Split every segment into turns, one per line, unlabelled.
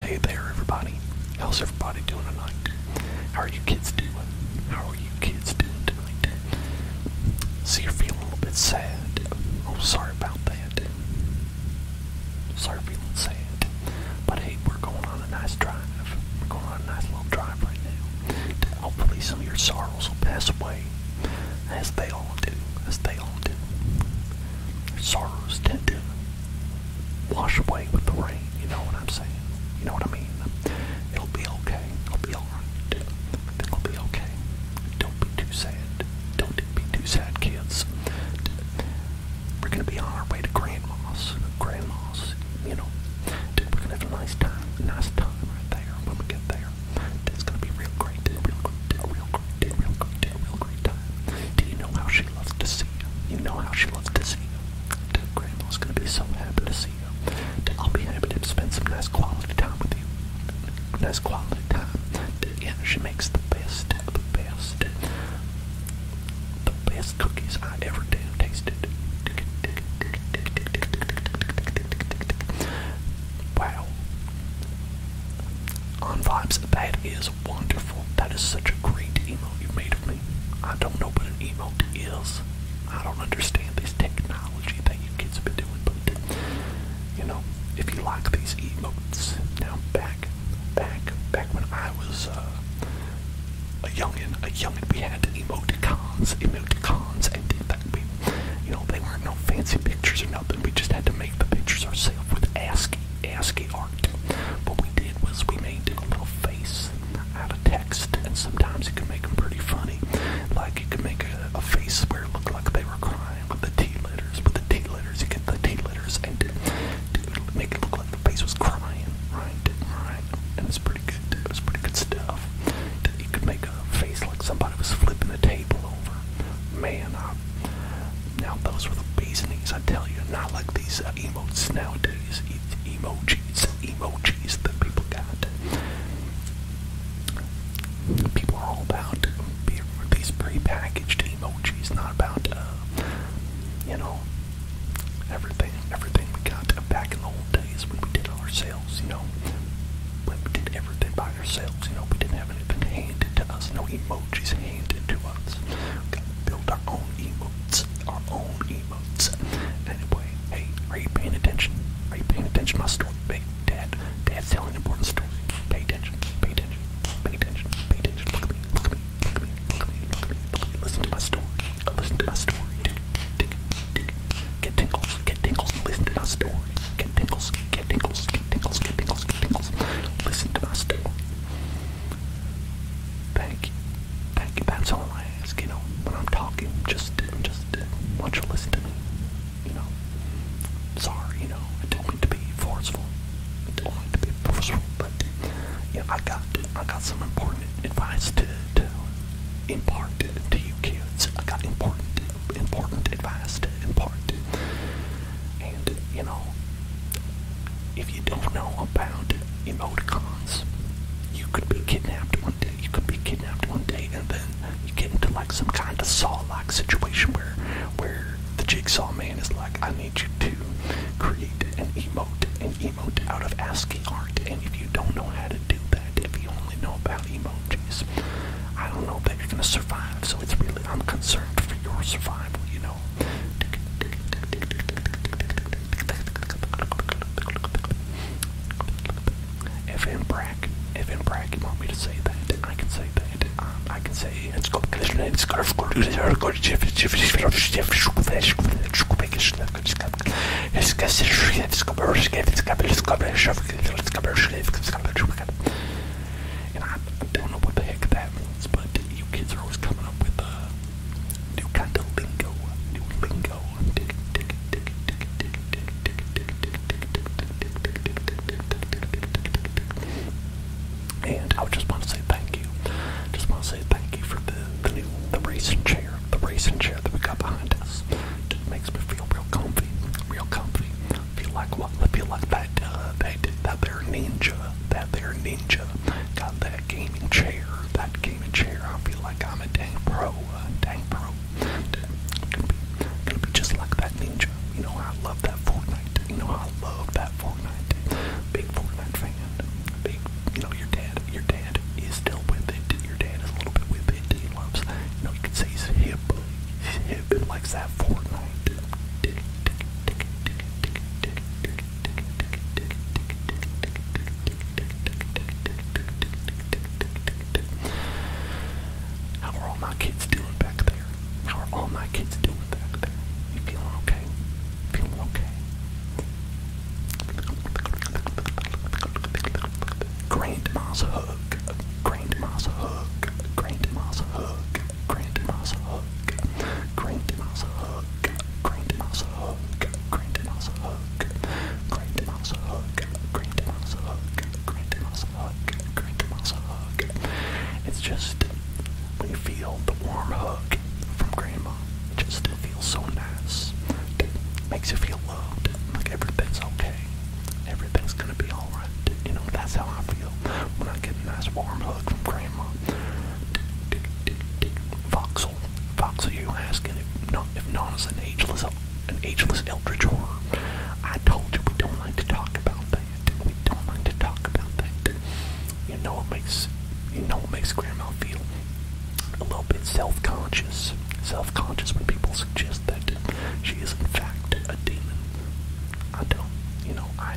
Hey there, everybody. How's everybody doing tonight? How are you kids doing? How are you kids doing tonight? See, you're feeling a little bit sad. Oh,
sorry about that. Sorry feeling sad. But hey, we're
going on a nice drive. We're going on a nice little drive right now. Hopefully some of your sorrows will pass away. As they all do. As they all do. Your sorrows tend to wash away with the rain. You know what I'm saying? You know what I mean? It'll be okay. It'll be alright. It'll be okay. Don't be too sad. Don't be too sad, kids. We're gonna be on our way to grandma's. Grandma's, you know. We're gonna have a nice time. Nice time right there when we get there. It's gonna be Real great. Real great. Real great. Real great. Real great time. Do you know how she she loves to see you. You know how she loves to see you. That grandma's gonna be so happy to see you. That I'll be happy to spend some nice quality time with you. Nice quality time. That, yeah, she makes the best, the best, the best cookies I ever damn tasted. Wow. On vibes, that is wonderful. That is such a great emote you made of me. I don't know what an emot is. I don't understand this technology that you kids have been doing, but you know, if you like these emot, now back, back, back when I was uh, a youngin, a youngin, we had emoticons, emoticons, and did that. We, you know, they weren't no fancy pictures or nothing. We just had to make the pictures ourselves with ASCII, ASCII art marked. What we did was we made a little face out of text, and sometimes it could make them pretty funny. Like it could make a, a face where it looked like they were crying with the T letters. With the T letters, you get the T letters, and to, to make it look like the face was crying, right? Right? And it's pretty good. It was pretty good stuff. You could make a face like somebody was flipping the table over. Man, I, now those were the reasonings, I tell you, not like these uh, emotes nowadays, e emojis, emojis that people got. People are all about these pre-packaged emojis, not about, uh, you know, everything, everything we got back in the old days when we did all ourselves, you know, when we did everything by ourselves, you know, we didn't have anything handed to us, no emojis handed to us. We built our own own emotes. Our own emotes. Anyway, hey, are you paying attention? Are you paying attention to my story? Hey, Dad, Dad's telling an important story. Pay attention, pay attention, pay attention, pay attention. Look at me, look at me, look at me, look at me, look at me, look at me. Listen to my story. Listen to my story. Dig, dig, Get tingles, get tingles, listen to my story. Get tingles, get tingles, get tingles, get tingles, get tingles. Listen to my story thank you. that's all I ask, you know, when I'm talking, just, just, want you to listen to me, you know, sorry, you know, I don't mean to be forceful, I don't mean to be forceful, but, yeah, I got, I got some important advice to, to impart to you kids, I got important, important advice to impart, you know, if you don't know about emoticons, you could be kidnapped one day, you could be kidnapped one day, and then you get into like some kind of saw-like situation where where the jigsaw man is like, I need you to create an emot, an emote out of ASCII art, and if you don't know how to do that, if you only know about emojis, I don't know that you're gonna survive. So it's really I'm concerned for your survival, you know now. Evan Brack, Evan you want me to say that? I can say that. I can say it's called it's called and I don't know what the heck that means, but you kids are always coming up with uh, New kind of lingo, new lingo. And I just want to say thank you. Just want to say thank you for the the, new, the racing chair, the racing chair that we got behind us. makes me feel real comfy, real comfy. Feel like what? Feel like that uh, that there ninja, that there ninja
got that game chair, that gaming chair. I feel like I'm a dang pro, uh, dang pro. Gonna be, gonna be just like that ninja. You know, I love that Fortnite. You know, I love
that Fortnite. Big Fortnite fan. Big, you know, your dad, your dad is still with it. Your dad is a little bit with it. He loves, you know, you can say he's hip. He's hip and likes that Fortnite. How are all my kids doing back there? How are all my kids doing back there? You feeling okay? Feeling okay? Grandma's hug. Grandma's hug. Grandma's hug. Grandma's hug. Grant Mouse a hug. Grant Mouse a hug. Grant Mouse a hug. Grant Mouse a hug. Grant Mouse a hug. Grant Mouse a hug. Grant Mouse a hug. It's just when you feel the warm hug from Grandma, it just feels so nice. It makes you feel loved. Like everything's okay. Everything's gonna be alright. You know, that's how I feel when I get a nice warm hug from Grandma. Voxel. Voxel, you asking if not if not is an ageless an ageless eldritch horror. I told you we don't like to talk about that. We don't like to talk about that. You know what makes you know what makes grandma feel a little bit self-conscious. Self-conscious when people suggest that she is in fact a demon. I don't you know, I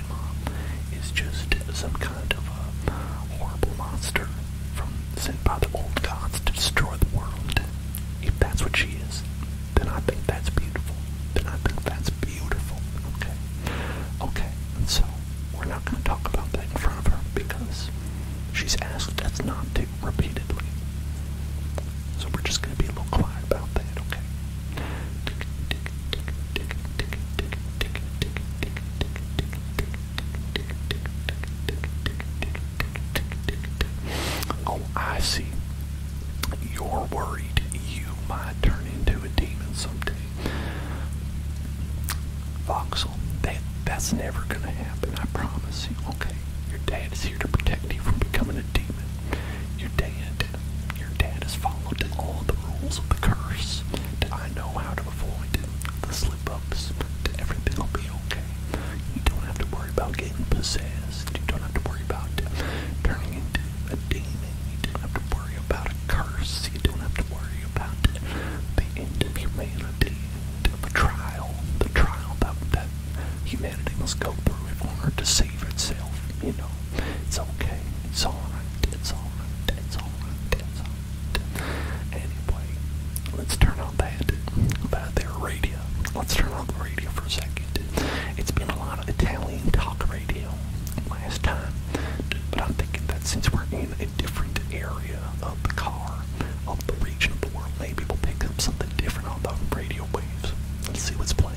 grandmom is just some kind of a horrible monster from sent by the old gods to destroy the world. If that's what she is, then I think that's beautiful. Then I think that's beautiful. Okay. Okay. And so we're not gonna talk about that in front of her because she's asked us not to repeatedly. So we're just gonna be a little quiet about that, okay? Oh, I see. You're worried you might turn into a demon someday. Voxel, that, that's never going to happen, I promise you. Okay, your dad is here to protect you from becoming a demon. Your dad your dad has followed all the rules of the curse. I know how to avoid the slip ups. Everything will be okay. You don't have to worry about getting possessed. You don't have to worry about turning into a demon. You don't have to worry about a curse. You don't have to worry about the end of humanity, the trial, the trial that, humanity must go through in order to save itself. You know, it's okay. It's alright. It's alright. It's alright.
Anyway, let's turn on that, about
radio. Let's turn on the radio for a second. It's been a lot of Italian talk radio last time, but I'm thinking that since we're in a different area of the car, of the region of the world, maybe we'll pick up something different on the radio waves. Let's see what's playing.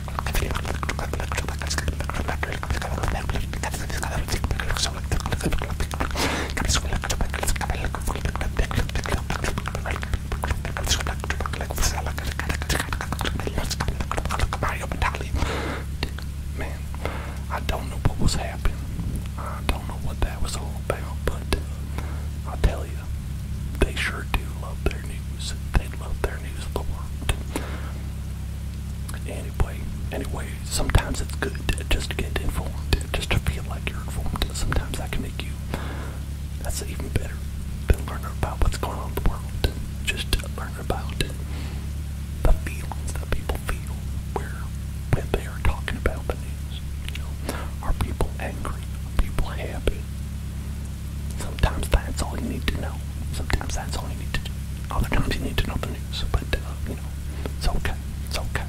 Man, I don't know what was happening. I don't know what that was all about, but i tell you, they sure do love their news love their news alert. Anyway, anyway, sometimes it's good just to get informed, just to feel like you're informed. Sometimes that can make you, that's even better, than learning about what's going on in the world. Just to learn about the feelings that people feel where, when they are talking about the news. You know, are people angry? Are people happy? Sometimes that's all you need to know. Sometimes that's all you need to do. Other times you need to know the news, but uh, you know, it's okay. It's okay.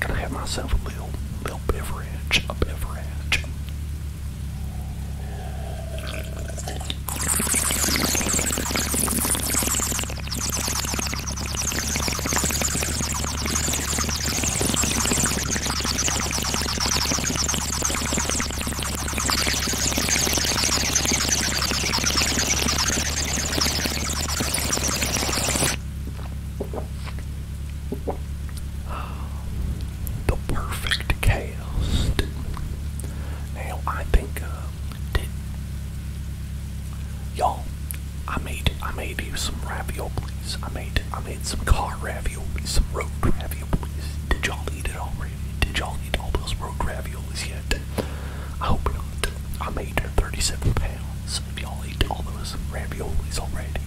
Gonna have myself a little, little beverage, a beverage. The perfect chaos. Now I think uh, did y'all I made I made you some ravioli I made I made some car raviolis, some road raviolis. Did y'all eat it already? Did y'all eat all those road raviolis yet? I hope not. I made 37 pounds. If y'all ate all those raviolis already,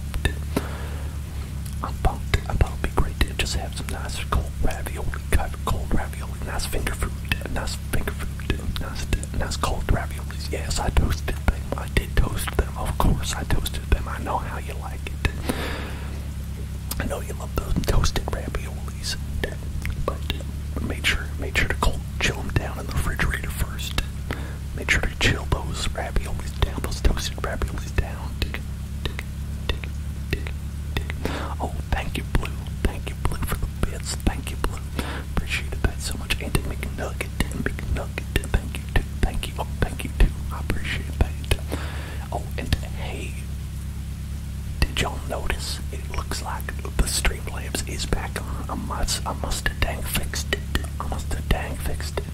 I'm about I thought it'd be great to just have some nice cold ravioli, cold ravioli, nice finger food, nice finger food, nice nice cold raviolis. Yes, I toasted them. I did toast them. Of course, I toasted them. I know how you like it. I know you love those toasted raviolis, but made sure make sure to chill them down in the refrigerator first. Made sure to chill those raviolis down, those toasted raviolis down. Oh, thank you, Blue. Thank you, Blue, for the bits. Thank you, Blue. Appreciated that so much. And McNugget, McNugget. Thank you, Thank you. Oh, thank you, too. I appreciate that. Oh, and hey, did y'all notice? It looks like the lamps is back on. I must, I musta have dang fixed it. I musta have dang fixed it.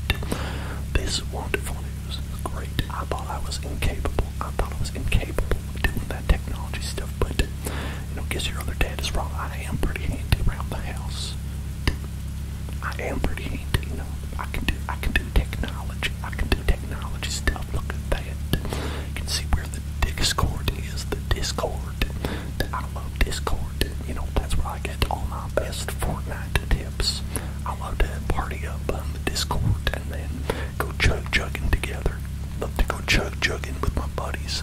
This wonderful news is great. I thought I was incapable. I thought I was incapable of doing that technology stuff, but you know, guess your other dad is wrong. I am pretty handy around the house. I am pretty you know. I can do I can do technology. I can do technology stuff. Look at that. You can see where the Discord is, the Discord. I love Discord. You know, that's where I get all my best Fortnite tips. I love to party up on the Discord and then go chug chugging together. Love to go chug chugging with my buddies.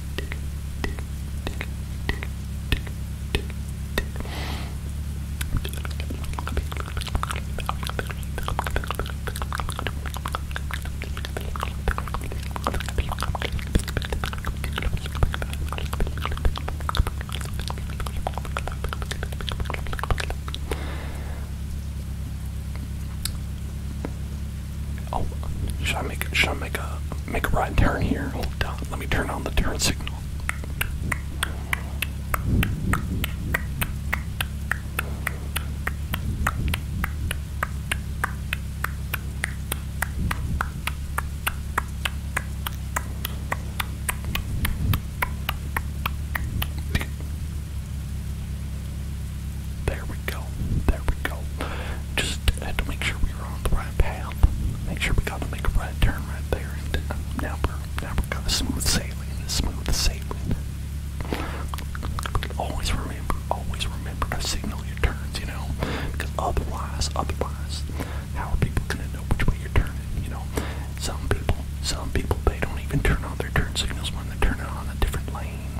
Oh, should I make should I make a make a right turn here. Hold on. Let me turn on the turn signal. There we go. There we go. Just had to make sure we were on the right path ramp. Make sure we got to make a right turn right there. And uh, now we're now we're gonna smooth sailing. Smooth sailing. Always remember, always remember to signal your turns, you know, because otherwise, otherwise, how are people gonna know which way you're turning? You know, some people, some people, they don't even turn on their turn signals when they're turning on a different lane.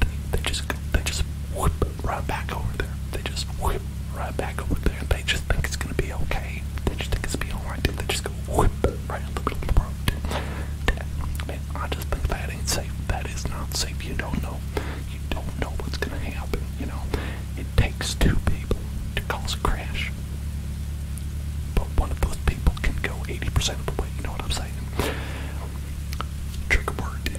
They, they just, they just whoop right back over there. They just whip right back over there. They just think it's gonna be okay. They just think it's gonna be alright. They just go whip right in the middle of the road. I just think that ain't safe. That is not safe. You don't know. You don't know what's gonna happen. You know, it takes two people to cause a crash, but one of those people can go 80% of the way. You know what I'm saying? Trigger word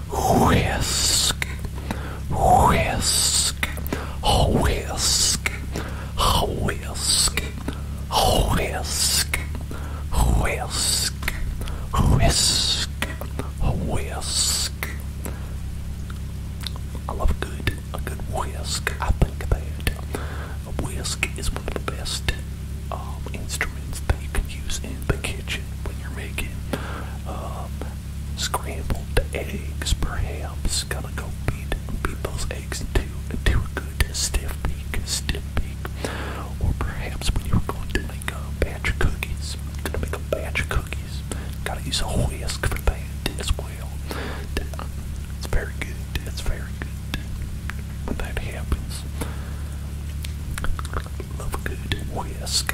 Whisk, whisk, whisk, whisk, whisk, whisk, whisk, whisk. I love a good, a good whisk. I think that a whisk is one of the best um, instruments that you can use in the kitchen when you're making. Um, Scrambled eggs, perhaps. Gotta go beat, beat those eggs into, into a good stiff peak, stiff peak. Or perhaps when you're going to make a batch of cookies, gonna make a batch of cookies. Gotta use a whisk for that as well. It's very good, it's very good. When that happens, love a good whisk.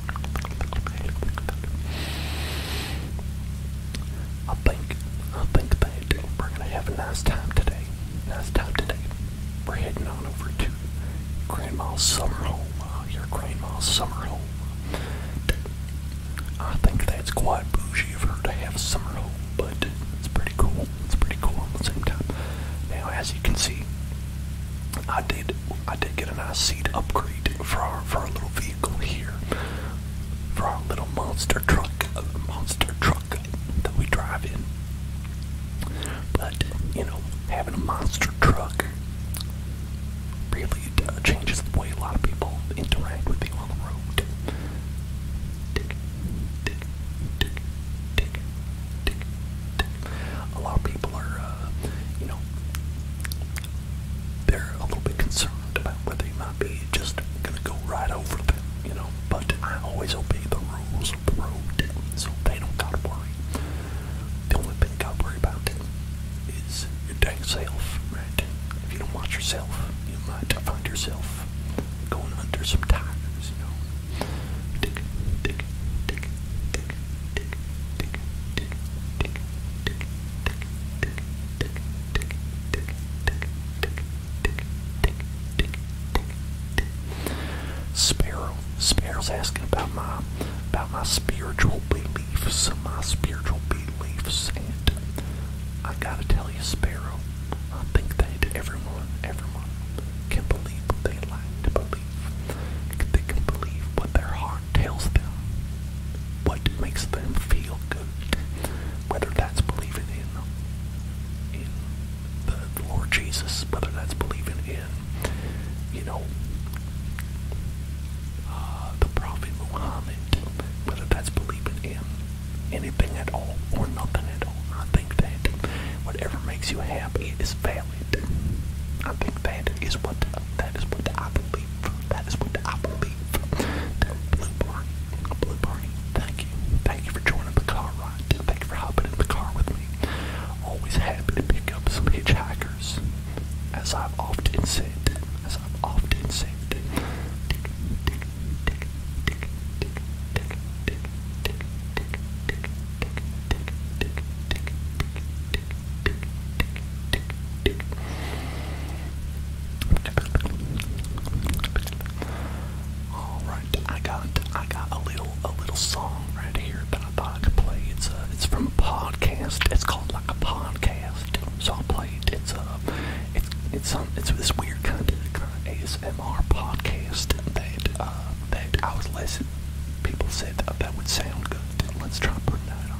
I think, I think that we're gonna have a nice time today. Nice time today. We're heading on over to Grandma's summer home. Uh, your grandma's summer home. I think that's quite bougie of her to have a summer home, but it's pretty cool. It's pretty cool at the same time. Now, as you can see, I did I did get a nice seat upgrade for our for our little vehicle here. For our little monster truck monster truck that we drive in. But, you know, having a monster truck really uh, changes the way a lot of people interact with you on the road. A lot of people are, uh, you know, they're a little bit concerned about whether you might be just gonna go right over them, you know. But I always obey the rules of the road, so they don't gotta worry. The only thing you gotta worry about is your dang self, right? If you don't watch yourself, you might find yourself going under some tires, you know. Dig, dig, dig, dig, dig, Sparrow. Sparrow's asking about my about my spiritual beliefs. My spiritual beliefs and I gotta tell you, Sparrow, I think that everyone, everyone can believe what they like to believe. They can believe what their heart tells them what makes them feel good, whether that's believing in in the, Lord Jesus, whether that's believing in, you know, uh, the Prophet Muhammad, whether that's believing in anything at all or nothing at all. I think that whatever makes you happy is valid. I think that is what that is what I believe that is what I believe. That Blue thank you. Thank you for joining the car ride. Thank you for hopping in the car with me. Always happy to pick up some hitchhikers. As I've often said, as I've often said, all right, I got I got a little a little song right here that I thought I could play. It's a uh, it's from a podcast. It's called like a podcast, so I'll play It's a uh, it's it's um it's this weird kind of kind of ASMR podcast that uh, that I was listening. People said that, that would sound good. Let's try putting that on.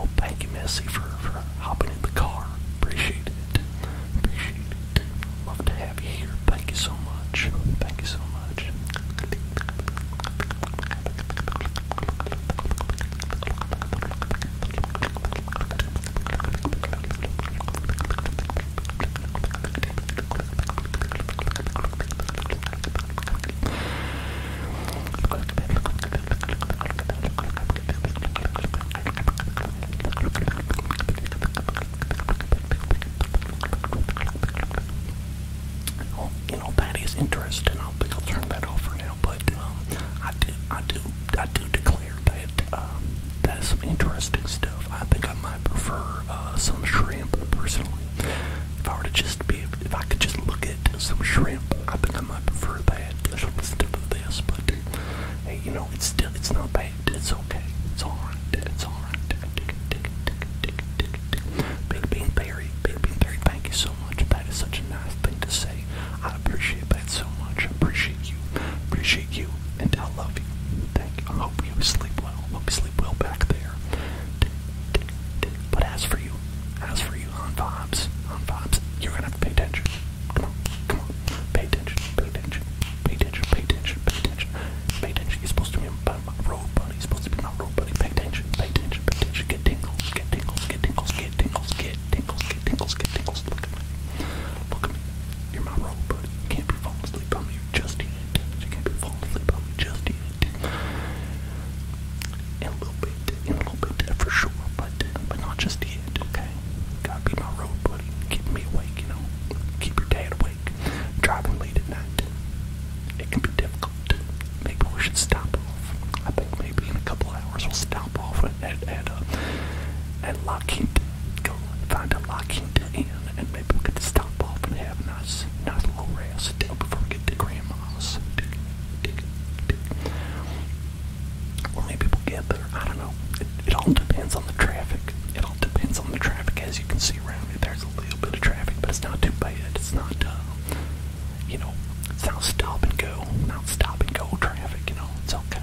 Oh, thank you, Missy, for, for hopping in the car. Appreciate it. Appreciate it. Love to have you here. Thank you so much. Thank you so much. Well, you know that is interesting. I'll, I'll turn that over now. But um, I do, I do, I do decline player, but um, that is some interesting stuff. I think I might prefer uh, some shrimp personally. If I were to just be, if I could just look at some shrimp, I think I might prefer that instead of this. But hey, you know, it's still, it's not bad. It's okay. It's alright. It's alright. Big Bean Berry, Big Bean Berry, thank you so much. That is such a nice thing to say. I appreciate that so much. I appreciate you. Appreciate you. And I love you. Thank you. I hope you sleep well. I hope you sleep well back there. But as for you, as for you on vibes, on vibes, you're gonna have to pay attention. Come on, come on. Pay attention, pay attention, pay attention, pay attention, pay attention, pay attention. You're supposed to be my
road buddy. You're supposed to be my road buddy. Pay attention, pay attention, pay attention. Get tingles, get tingles, get tingles, get get tingles, get tingles, get tingles, get tingles. Look at me. Look at me. You're my role, buddy. You can't be falling asleep on me just yet. You can't be falling asleep
on me just yet. In a little bit, in a little bit, for sure, but, but not just yet, okay? Gotta be my road buddy, keep me awake, you know? Keep your dad awake. Driving late at night, it can be difficult. Maybe we should stop off. I think maybe in a couple hours we'll stop off at, at, at, uh, at Lockheed go and find a locking to end, and maybe we could stop off and have a nice, nice little rest before we get to Grandma's. Or maybe we'll get there. I don't know. It, it all depends on the traffic. It all depends on the traffic. As you can see around me, there's a little bit of traffic, but it's not too bad. It's not, uh, you know, it's not stop and go, not stop and go traffic, you know, it's okay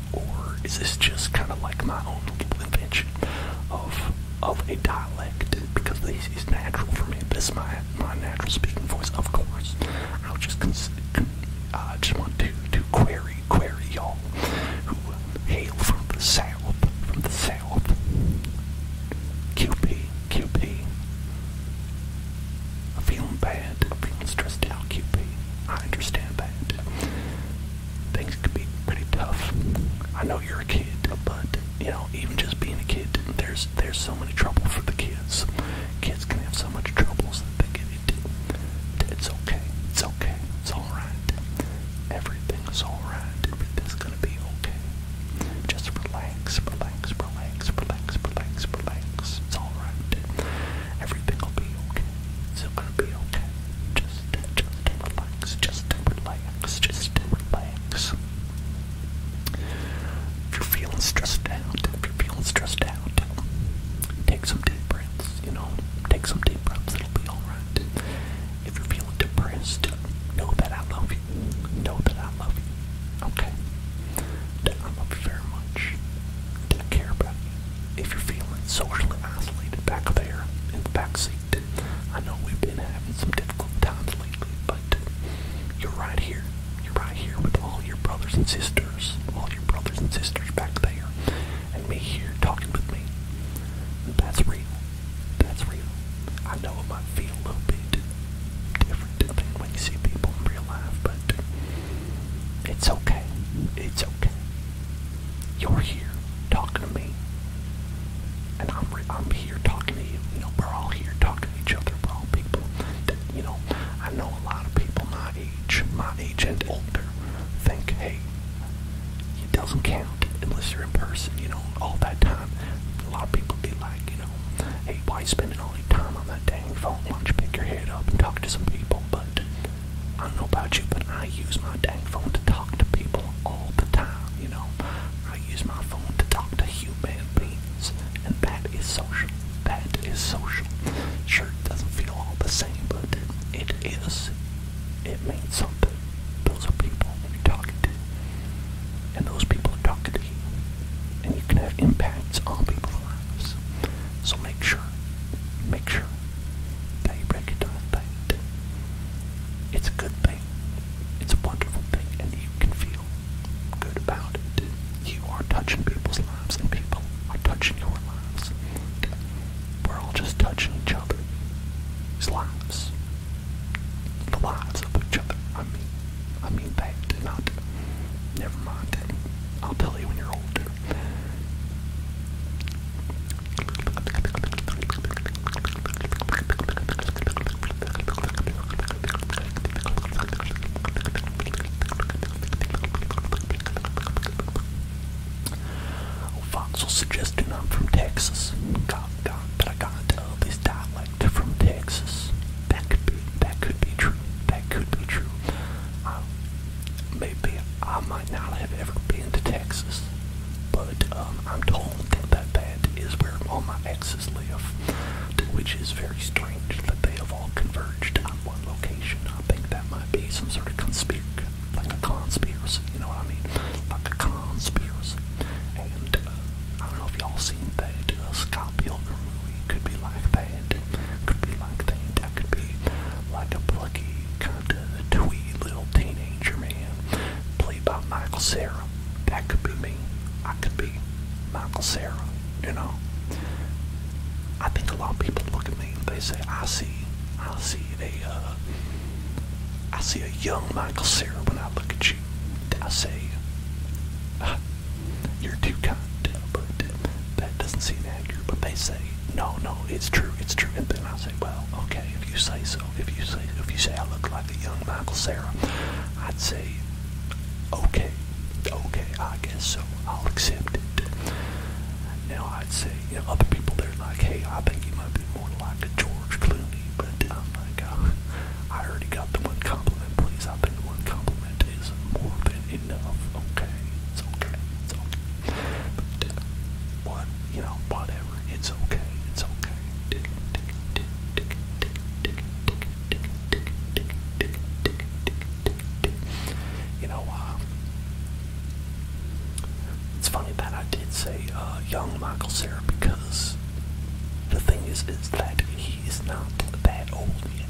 or is this just kind of like my own little invention of of a dialect? Because this is natural for me. This is my my natural speaking voice, of course. I'll just cons I just want to to query query y'all who hail from the south, from the south. QP, QP. I'm feeling bad. I'm feeling stressed out, QP. I understand that. Things can be pretty tough. I know you're a kid, but you know, even just being a kid, there's there's so many trouble for the kids. Kids can have so much troubles that they get into. It's okay. It's okay. It's all right. Everything's all right. Everything's gonna be okay. Just relax, relax, relax, relax, relax, relax. It's all right. Everything will be okay. It's gonna be okay. Just, just relax. Just relax. Just relax. If you're feeling stressed out, if you're feeling stressed out, take some deep breaths. You know, take some deep breaths. It'll be all right. If you're feeling depressed, know that I love you. Know that I love you. Okay. I love you very much. I care about you if you're feeling socially isolated back there in the back seat, I know we've been having some difficult times lately, but you're right here. You're right here with all your brothers and sisters, all your brothers and sisters back there, and me here talking with me. That's real. That's real. I know it might feel a little bit different than when you see people in real life, but it's okay. It's okay. You're here talking to me, and I'm I'm here talking to you. You know, we're all here talking to each other. We're all people. you know, I know a lot of people my age, my age and older, think, hey, it doesn't count unless you're in person. You know, all that time, a lot of people be like, you know, hey, why spending all your time on that dang phone? Why don't you pick your head up and talk to some people? But I don't know about you, but I use my dang phone to talk to people all the time, you know. I use my phone to talk to human beings, and that is social. That is social. Sure, it doesn't feel all the same, but it is. It means something. Those are people you're talking to, and those people are talking to you, and you can have impacts on people lives. So make sure, make sure that you break into that pain. It's a good thing, It's a wonderful thing, and you can feel good about it. You are touching people's lives, and people are touching your lives. We're all just touching each other's lives. The lives of each other. I mean, I mean that. Not. Never mind. I'll tell you when you're older. Foxel suggesting I'm from Texas. God, God, but I gotta tell this dialect from Texas. That could be, that could be true. That could be true maybe I might not have ever been to Texas, but um, I'm told that that is where all my exes live, which is very strange that they have all converged on one location. I think that might be some sort of conspiracy, like a conspiracy, you know what I mean? Like a conspiracy. And uh, I don't know if y'all seen that uh, Scott Pilgrim movie. Could be like that. Could be like that. I could be like a plucky, kind of twee little teenager man, played by Michael Sarah. That could be me. I could be Michael Sarah. You know. I think a lot of people look at me and they say, "I see, I see a, uh, I see a young Michael Sarah when I look at you." I say, ah, "You're too kind," but that doesn't seem accurate, but they say, no, no, it's true, it's true. And then I say, well, okay, if you say so, if you say, if you say I look like a young Michael Sarah, I'd say, okay, okay, I guess so, I'll accept it. Now I'd say, you know, other people they're like, hey, I think you might be more like a George Clooney, but I'm like, uh, I already got the one compliment, please. I think the one compliment is more than enough. Okay, it's okay, it's okay what, you know, whatever. It's okay. It's okay. You know, it's funny that I did say young Michael Sarah because the thing is, is that he is not that old yet.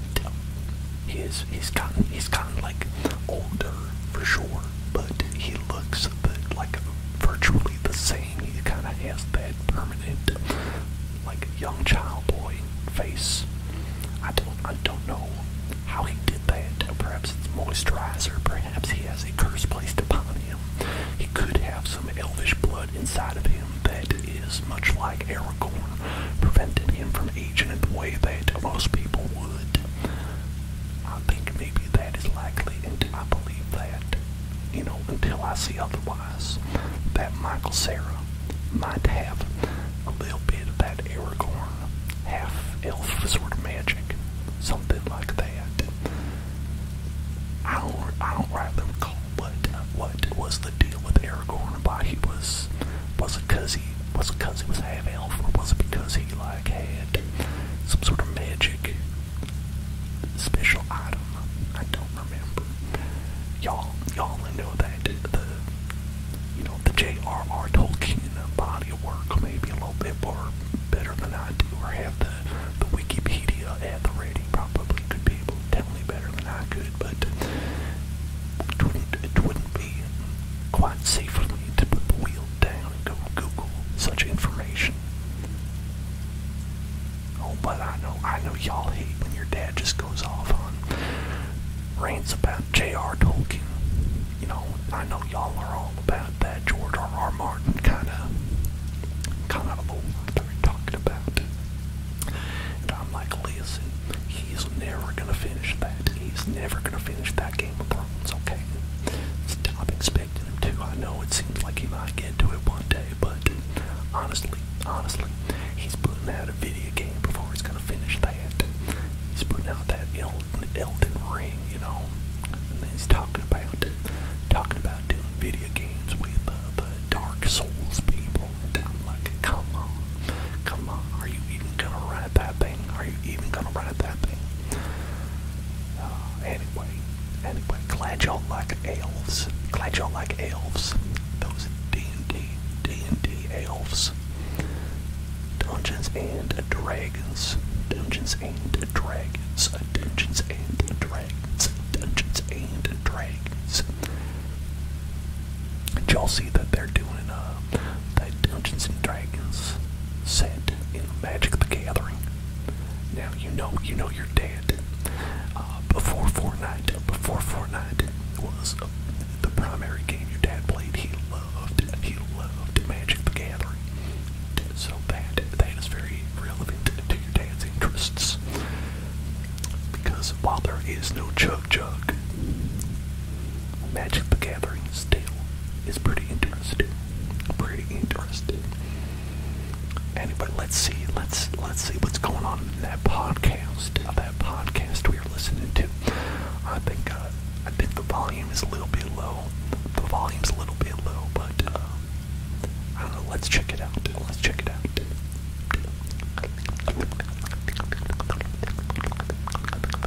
His he's kind he's gotten like older for sure, but he looks but like virtually the same. He kind of has that permanent like young child boy face. I don't I don't know how he did that. Perhaps it's moisturizer. Perhaps he has a curse placed upon him. He could have some elvish blood inside of him that is much like Aragorn, preventing him from aging in the way that most people would. I think maybe
that is likely, and I believe that, you know, until I see otherwise,
that Michael Sarah might have a little bit of that Aragorn, half elf sort of magic, something like that. I don't, I don't rightly recall what, what was the deal with Aragorn, why he was was it cause he was half elf, or was it because he like had some sort of magic special item? I don't remember. Y'all, y'all know that the you know the J.R.R. Tolkien body work may be a little bit more better than I do, or have the the Wikipedia at the ready. Probably could be able to tell me better than I could, but it wouldn't quite safe for me to put the wheel down and go Google such information. Oh, but I know, I know y'all hate when your dad just goes off on rants about J.R. Tolkien. You know, I know y'all are all about that George R. Martin kind of, kind of old that we talking about. And I'm like, listen, he's never gonna finish that. He's never gonna finish that Game of it's okay. I'm expecting him to. I know it seems like he might get to it one day, but honestly, honestly, he's putting out a video game before he's gonna finish that. He's putting out that Elden, Elden Ring, you know, and then he's talking about talking about doing video games with uh, the Dark Souls people. And I'm like, come on, come on, are you even gonna write that are you even gonna run at that thing? Uh, anyway, anyway, glad y'all like elves. Glad y'all like elves. Those D&D, D&D elves. Dungeons and Dragons. Dungeons and Dragons. Dungeons and Dragons. Dungeons and Dragons. y'all see that they're doing uh, the Dungeons and Dragons said in Magic the Gathering. Now you know you know your dad. Uh, before Fortnite, before Fortnite was the primary game your dad played, he loved he loved Magic the Gathering. So that that is very relevant to your dad's interests. Because while there is no chug chug, Magic the Gathering still is pretty interesting. Pretty interesting. Anyway, let's see. Let's let's see what's going on in that podcast. Uh, that podcast we are listening to. I think uh, I think the volume is a little bit low. The volume's a little bit low, but uh, Let's check it out. Let's check it out.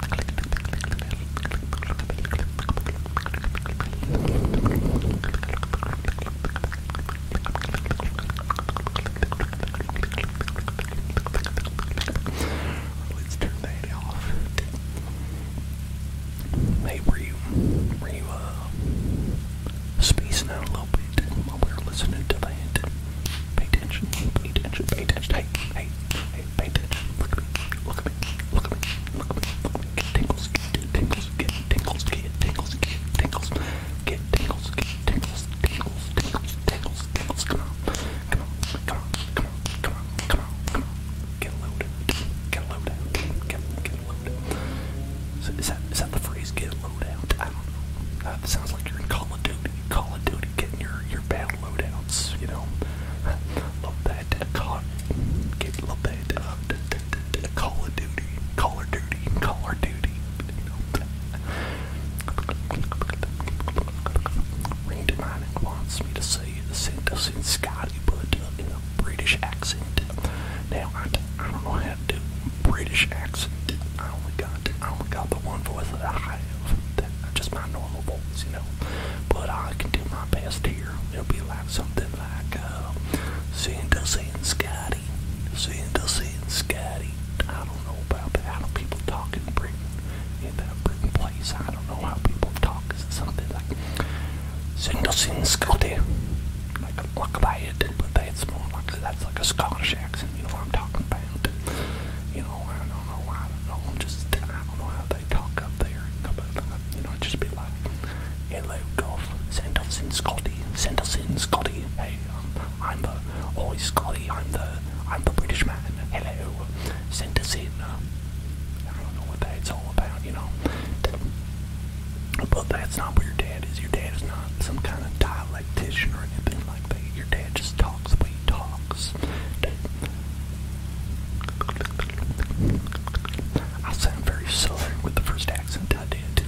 Let's turn that off. Hey, were you, were you, uh, spacing out a little bit while we were listening to that? Pay attention, pay attention, pay attention. Hey, hey, Hey, hey, look at me, look at me, look at me, look at me, look at me. Get tingles, get tingles, get tingles, get tingles, get tingles, get tingles, get tingles, tingles, tingles, tingles, tingles. Come on, come on, come on, come on, come on, come on, come on. Get loaded, get loaded, get get loaded. So is that is that the phrase? Get loaded. I don't know. Uh, it sounds like you're in Call of Duty. Call of Duty, getting your your battle loadouts, you know. Love that call, love that uh, Call of Duty, Call of Duty, Call of Duty. You know. Randy Mining wants me to say this in Scotty, but uh, in a British accent. Now I, don't know to British accent. I only got I only got the one voice that I have. just my normal my voice, you know. But I can do my best here. It'll be like something like uh, Santa saying Scotty, Santa saying Scotty. I don't know about that. How do people talk in Britain? In that Britain place, I don't know how people talk. Is it something like Santa saying Scotty? Like a like that, but that's more like that's like a Scottish accent. You know what I'm talking about? You I don't know, I do just, I don't know how they talk up there, but, you know, it'd just be like, hello, golf, send us in Scotty, send us in Scotty, hey, I'm the, oh, Scotty, I'm the, I'm the British man, hello, send us in, I don't know what that's all about, you know, but that's not what your dad is, your dad is not some kind of dialectician or anything like that, your dad just talks I sound very southern with the first accent I did.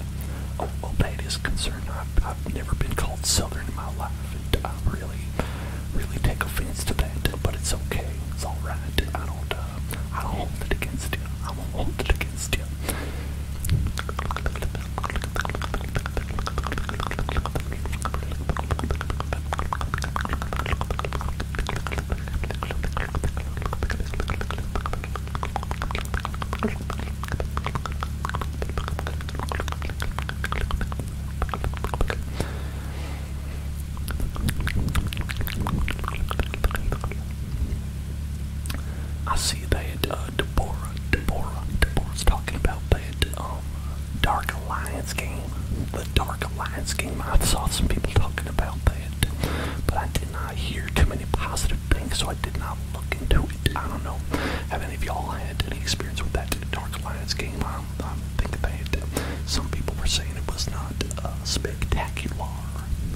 Oh, well, that is concerned. I've, never been called southern in my life, and I really, really take offense to that. But it's okay. It's all right. I don't, uh, I don't hold it against you. I won't hold it against you. I see that had uh, Deborah, Deborah, is talking about that um, Dark Alliance game. The Dark Alliance game. I saw some people talking about that, but I did not hear too many positive things, so I did not look into it. I don't know. Have any of y'all had any experience with that Dark Alliance game? I, I that they had. Some people were saying it was not uh, spectacular,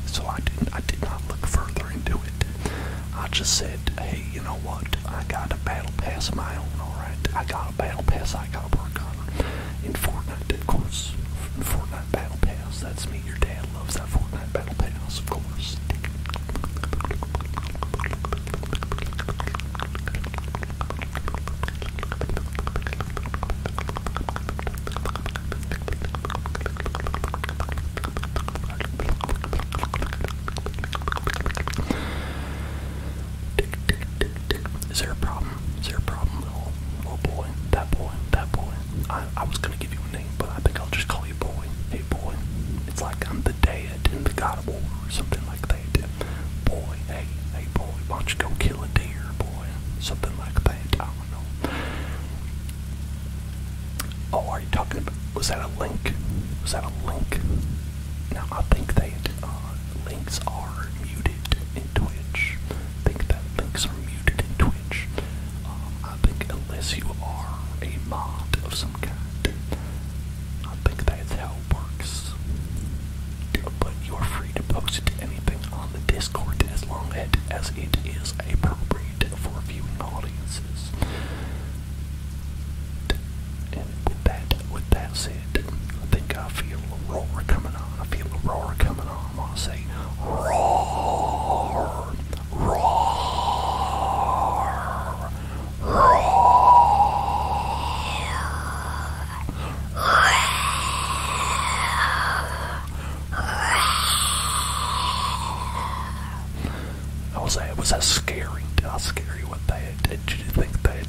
so I didn't. I did not look further into it. I just said, hey you know what? I got a battle pass of my own, alright? I got a battle pass I got a work on. In Fortnite, of course. Fortnite battle pass, that's me. Your dad loves that Fortnite battle pass, of course. Is there a problem? Is there a problem? little oh, boy, that boy, that boy. I, I was gonna give you a name, but I think I'll just call you boy. Hey boy. It's like I'm the dad and the God of War or something like that. Boy, hey, hey boy, why don't you go kill a deer, boy? Something like that. I don't know. Oh, are you talking about? Was that a link? Was that a link? No, I think that. Uh, links are muted in Twitch. think that links are muted in Twitch. Um, I think unless you are a mod of some kind, I think that's how it works. But you are free to post anything on the Discord as long as it is appropriate for viewing audiences. And that, with that said, I think I feel a roar coming on. I feel a roar coming on. I want to say, roar, roar, roar. roar. roar. I was that was that scary? How scary was that? Did you think that?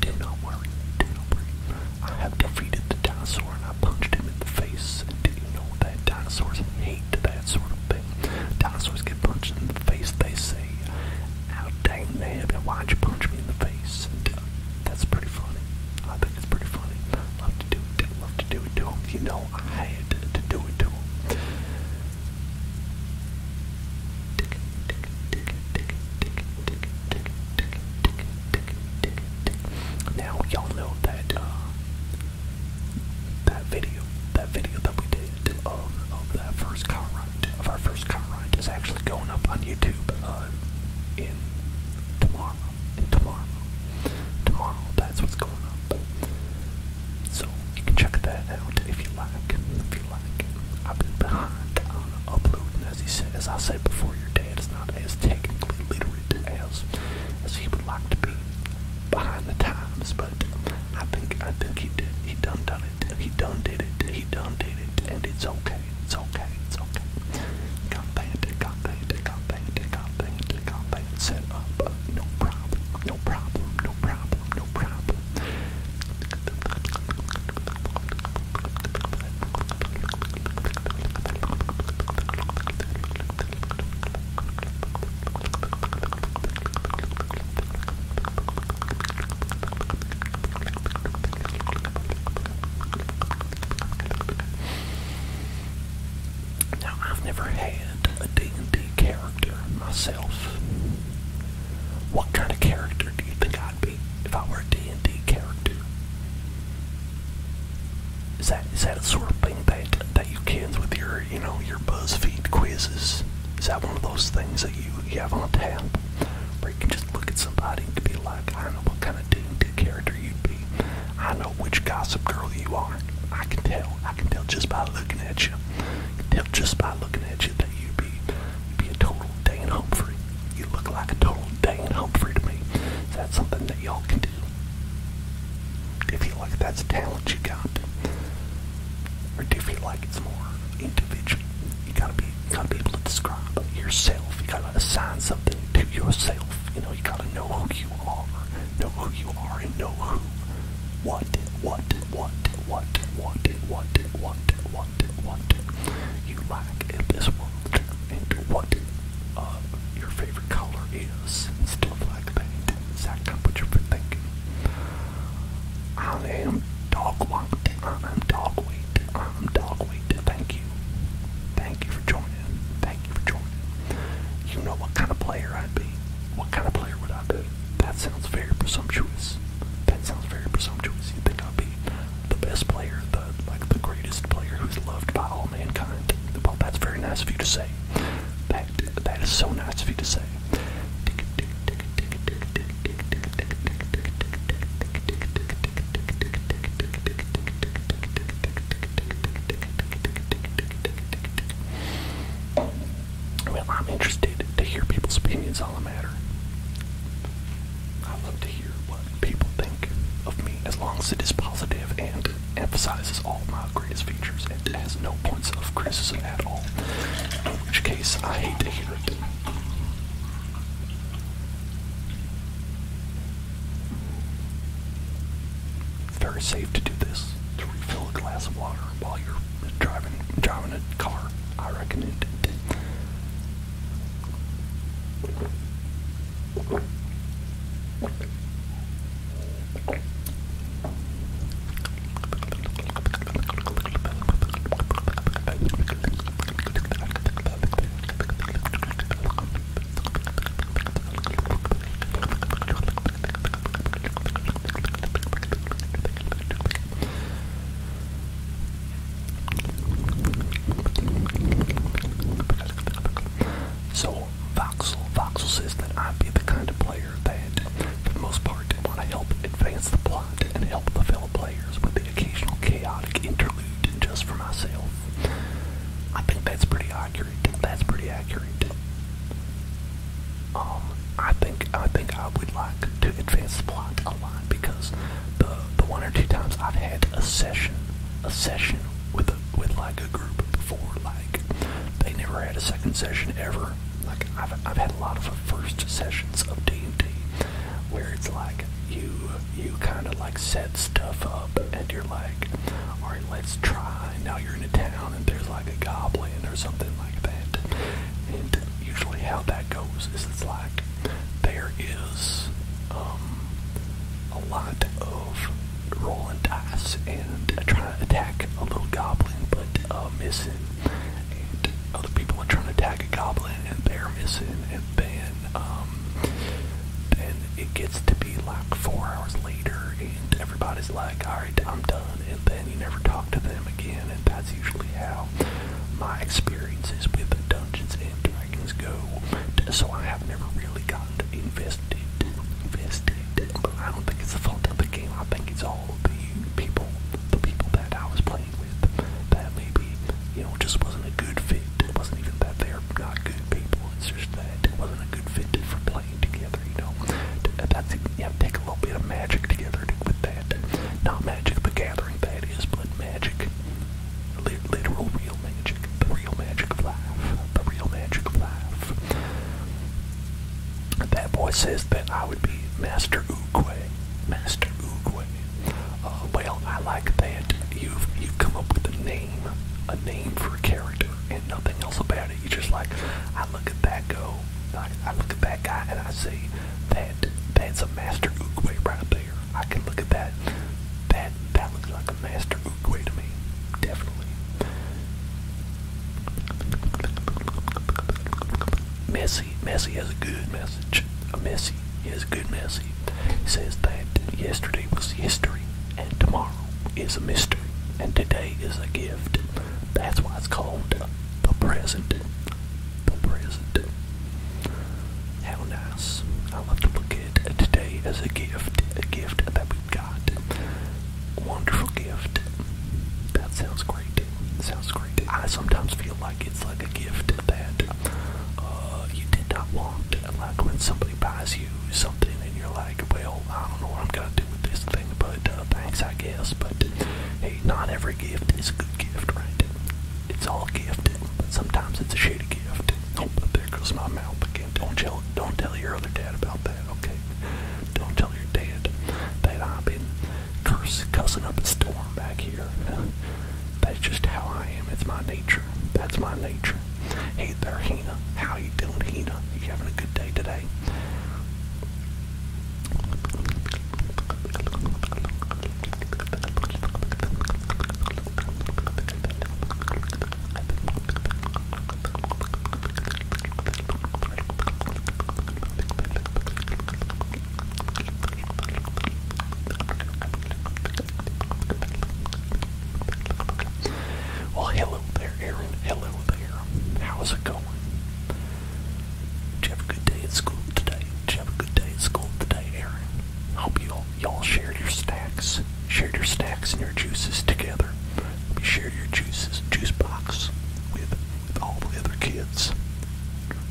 Do not worry, do I have defeated the dinosaur and I punched him in the face. And do you know that dinosaurs hate that sort of thing? Dinosaurs get punched in the face, they say, How dang you? why'd you punch me in the face? And, uh, that's pretty funny. I think it's pretty funny. Love to do it, love to do it to him. You know I had to do it to him. Now y'all know that uh, that video, that video that we did of, that first car of our first car is actually going up on YouTube uh, in tomorrow. In tomorrow, tomorrow, that's what's going up. So you can check that out if you like like. I've been behind on uploading, as he said, as I said before. Your dad is not as technically literate as as he would like to be behind the times, but I think I think he did. He done done it. He done did it. He done did it, and it's okay. It's okay. It's okay. Got that. Got that. Got that. Got that. Got that set up. No problem. No problem. No problem. No problem.
Now I've never
had a D&D character myself. What kind of character do you think I'd be if I were a D&D character? Is that is that a sort of thing that that you can with your you know your BuzzFeed quizzes? Is that one of those things that you, you have on tap where you can just look at somebody and be like, I know what kind of D&D character you'd be. I know which gossip girl you are. I can tell. I can tell just by looking at you. can tell just by looking at you you that you'd be, you'd be a total Dan Humphrey. You look like a total Dan Humphrey to me. Is that something that y'all can do? Do you feel like that's a talent you got? Or do you feel like it's more individual? You gotta be you gotta be able to describe yourself. You gotta assign something to yourself. You know, you gotta know who you are, know who you are and know who what what what, what, what, what, what, what, what you like in this world, and what uh, your favorite color is, and stuff like that. Exactly what you've been I am dogwalked. I am dogweight. I am dogweight. Thank you. Thank you for joining. Thank you for joining. You know what kind of player I'd be. What kind of player would I be? That sounds very presumptuous. That sounds very presumptuous. You think i am the best player, the like the greatest player who's loved by all mankind. Well, that's very nice of you to say. That that is so nice of you to say. I I'm interested to hear people's opinions on the matter. I love to hear what people think of me as long as it is positive and emphasizes all my greatest features and has no points of criticism at all. In which case, I hate to hear it. Very safe to do this to refill a glass of water while you're driving driving a car. I reckon it did. So Voxel, Voxel says that I'd be the kind of player that, for the most part, I want to help advance the plot and help the fellow players with the occasional chaotic interlude just for myself. I think that's pretty accurate. That's pretty accurate. Um, I think I think I would like to advance the plot a lot because the the one or two times I've had a session a session with a, with like a group before, like they never had a second session ever. Like I've I've had a lot of first sessions of D and D where it's like you you kind of like set stuff up and you're like, all right, let's try. Now you're in a town and there's like a goblin or something like that, and usually how that goes is it's like there is um, a lot of rolling dice and trying to attack a little goblin but uh, missing, and other people are trying to attack a goblin and they're missing, and then um, then it gets to be like four hours later and everybody's like, all right, I'm done, and then you never talk to them again, and that's usually how how my experiences with Dungeons and Dragons go. So I have never really gotten to invested, invested. But I don't think it's the fault of the game. I think it's all the people, the people that I was playing with, that maybe you know just wasn't a good fit. It wasn't even that they're not good people. It's just that it wasn't a good fit for playing together. You know, that's yeah, take a little bit of magic to get that. Not magic, the gathering that is, but magic. Literal, real magic. The real magic of life. The real magic of life. That boy says that I would be Master Oogway. Master Oogway. Uh, well, I like that. You've, you come up with a name. A name for a character and nothing else about it. You're just like, I look at that go. I, I look at that guy and I say, that that's a master Oogway right there. I can look at that. That that looks like a master Oogway to me. Definitely. Messy. Messy has a good message. A messy has a good message. says that yesterday was history and tomorrow is a mystery and today is a gift. That's why it's called the present. How nice. I love to look at today as a gift, a gift that we've got. Wonderful gift. That sounds great. Sounds great. I sometimes feel like it's like a gift that uh, you did not want. Like when somebody buys you something and you're like, well, I don't know what I'm going to do with this thing, but uh, thanks, I guess. But hey, not every gift is a good gift, right? it's all gifted, but sometimes it's a shady gift. Oh, but there goes my mouth again. Don't tell, don't tell your other dad about that, okay? Don't tell your dad that I've been cursing up a storm back here. That's just how I am. It's my nature. That's my nature. Hey there, Hina. How you doing, Hina? You having a good day today? Well, hello there, Aaron. Hello there. How's it going? Did you have a good day at school today? Did you have a good day at school today, Aaron? I Hope you all y'all shared your stacks. Shared your stacks and your juices together. Hope share your juices juice box with with all the other kids.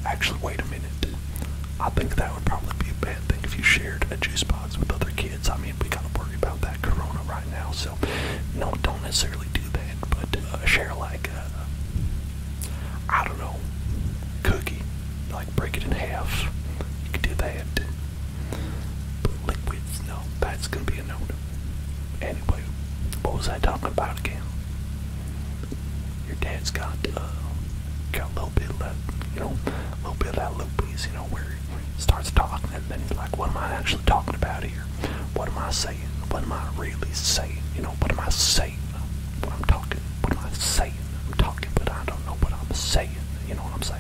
Actually, wait a minute. I think that would probably be a bad thing if you shared a juice box with other kids. I mean, we gotta worry about that corona right now, so no, don't necessarily do that. But uh, share like uh, I don't know, cookie, like break it in half. You can do that. But liquids, no, that's gonna be a no Anyway, what was I talking about again? Your dad's got uh, a little bit of that, you know, little bit of that loopies, you know, where he starts talking and then he's like, What am I actually talking about here? What am I saying? What am I really saying? You know, what am I saying? What I'm talking what am I saying? I'm talking, but I don't know what I'm saying. You know what I'm saying?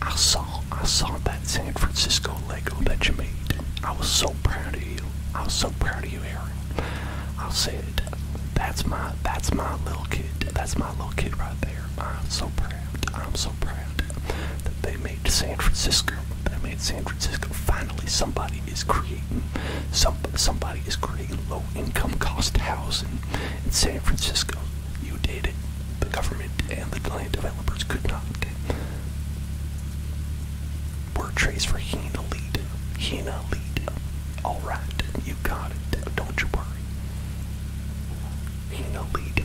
I saw I saw that San Francisco Lego that you made. I was so proud of you. I was so proud of you, Aaron. I said, that's my that's my little kid. That's my little kid right there. I'm so proud. I'm so proud that they made San Francisco. They made San Francisco. Finally somebody is creating some somebody is creating income cost housing in San Francisco. You did it. The government and the land developers could not. Word trace for Hina Lead. Hina Lead. Alright, you got it. Don't you worry. Hina Lead.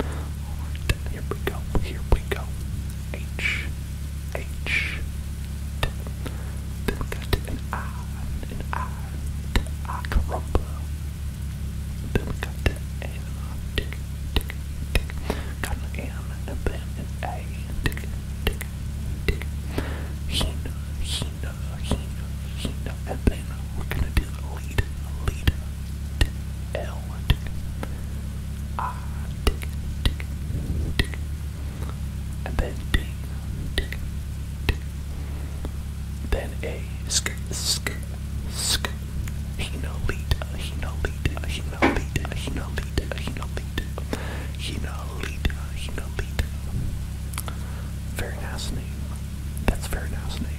Alright, here we go. Here we go. H. H. T been got an iron, an iron, that I can rumble. Been got an arm, dick, dick, dick. Got an M and a Ben and A, dick, dick, dick. Hina, Hina, Hina, Hina, and then we're gonna do the lead, lead, dick, L, dick. I, dick, dick, dick and then D, D, D. Then A, sk, sk, sk. Hinolita, Hinolita, Hinolita, Hinolita, Hinolita, Hinolita, Hinolita. Very nice name. That's very nice name.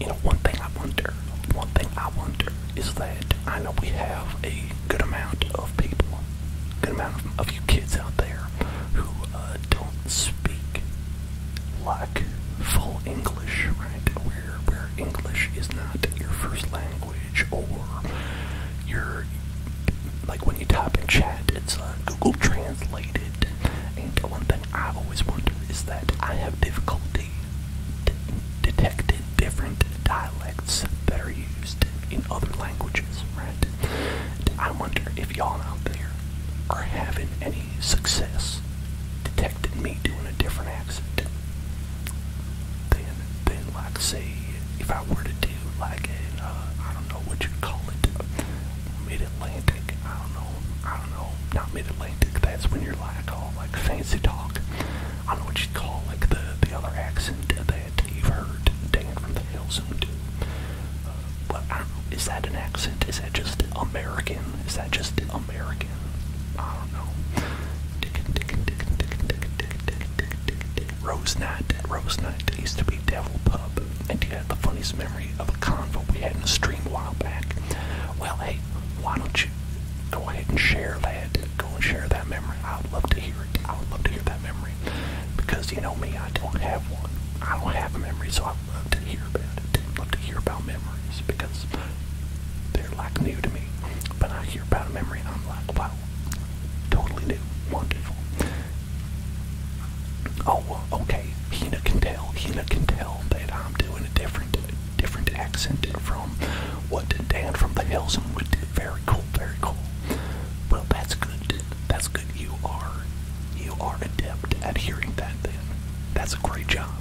You know, one thing I wonder, one thing I wonder is that I know we have a good amount of people, good amount of, of you kids out there who uh, don't speak like full English, right? Where where English is not your first language or your like when you type in chat, it's uh, Google translated. And one thing I always wonder is that I have difficulty detecting different dialects that are used in other languages, right? I wonder if y'all out there are having any success detected me doing a different accent, then, then like say, if I were to do like an, uh, don't know what you call it, mid-Atlantic, I don't know, I don't know, not mid-Atlantic, that's when you're like all like fancy talk, I know what you call like the, the other accent that you've heard Dan from the Hills and well, Is that an accent? Is that just American? Is that just American? I don't know. Rose Night. Rose Night used to be Devil Pub. And you had the funniest memory of a convo we had in a stream a while back. Well, hey, why don't you go ahead and share that? Go and share that memory. I would love to hear it. I would love to hear that memory. Because you know me, I don't have one. I don't have a memory, so I love to hear about Love to hear about memories because they're like new to me. But I hear about a memory and I'm like, wow, totally new, wonderful. Oh, okay. Hina can tell. Hina can tell that I'm doing a different, different accent from what Dan from the hills and would did. Very cool. Very cool. Well, that's good. That's good. You are you are adept at hearing that then. That's a great job.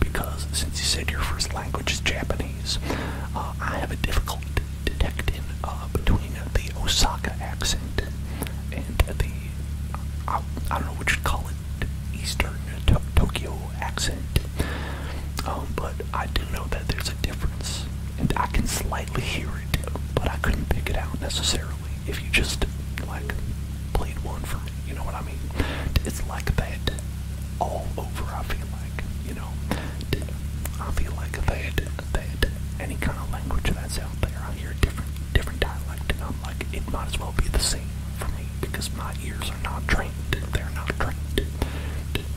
Because since you said your first language is Japanese, uh, I have a difficulty detecting uh, between the Osaka accent and the, uh, I, don't know what you'd call it, Eastern Tokyo accent. Um, but I do know that there's a difference, and I can slightly hear it, but I couldn't pick it out necessarily if you just like played one for me. You know what I mean? It's like a that all over. I feel like you know. I feel like a that that any kind of language that's out there, I hear a different different dialect, and I'm like, it might as well be the same for me because my ears are not trained. They're not trained.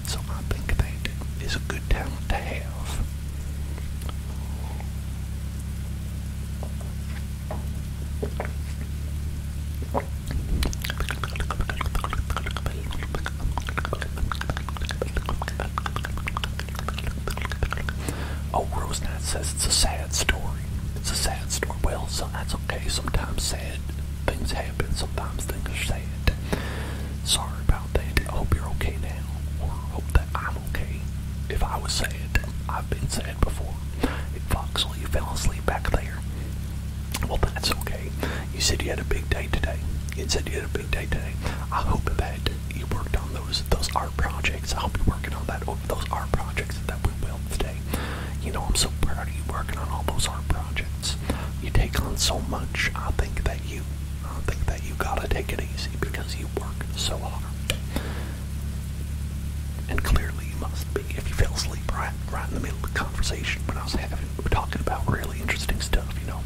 So I think that is a good talent to have. Oh, Rosenat says it's a sad story. It's a sad story. Well, so that's okay. Sometimes sad things happen. Sometimes things are sad. Sorry about that. I hope you're okay now. Or hope I'm okay. If I was sad, I've been sad before. If Foxley fell asleep back there, well, that's okay. You said you had a big day today. You said you had a big day today. I hope that you worked on those those art projects. I hope you're working on that those art projects that we built today. You know, I'm so proud of you working on all those art projects. You take on so much. I think that you, I think that you gotta take it easy because you work so hard. And clearly you must be if you fell asleep right, right in the middle of the conversation when I was having, we were talking about really interesting stuff, you know.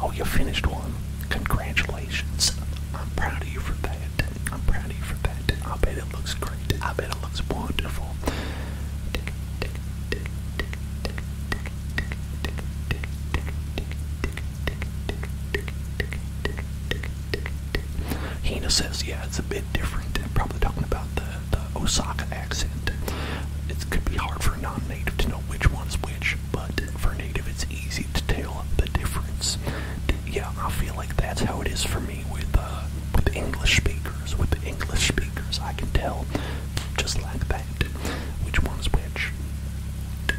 Oh, you finished one. Congratulations. I'm proud of you for that. I'm proud of you for that. I bet it looks great. I bet it looks wonderful. Hina says, yeah, it's a bit different. Probably talking about the, the Osaka accent. It could be hard for a non-native to know which one's which, but for a native, it's easy to tell the difference. Yeah, I feel like that's how it is for me with uh, with English speakers. With the English speakers, I can tell just like that which one's which.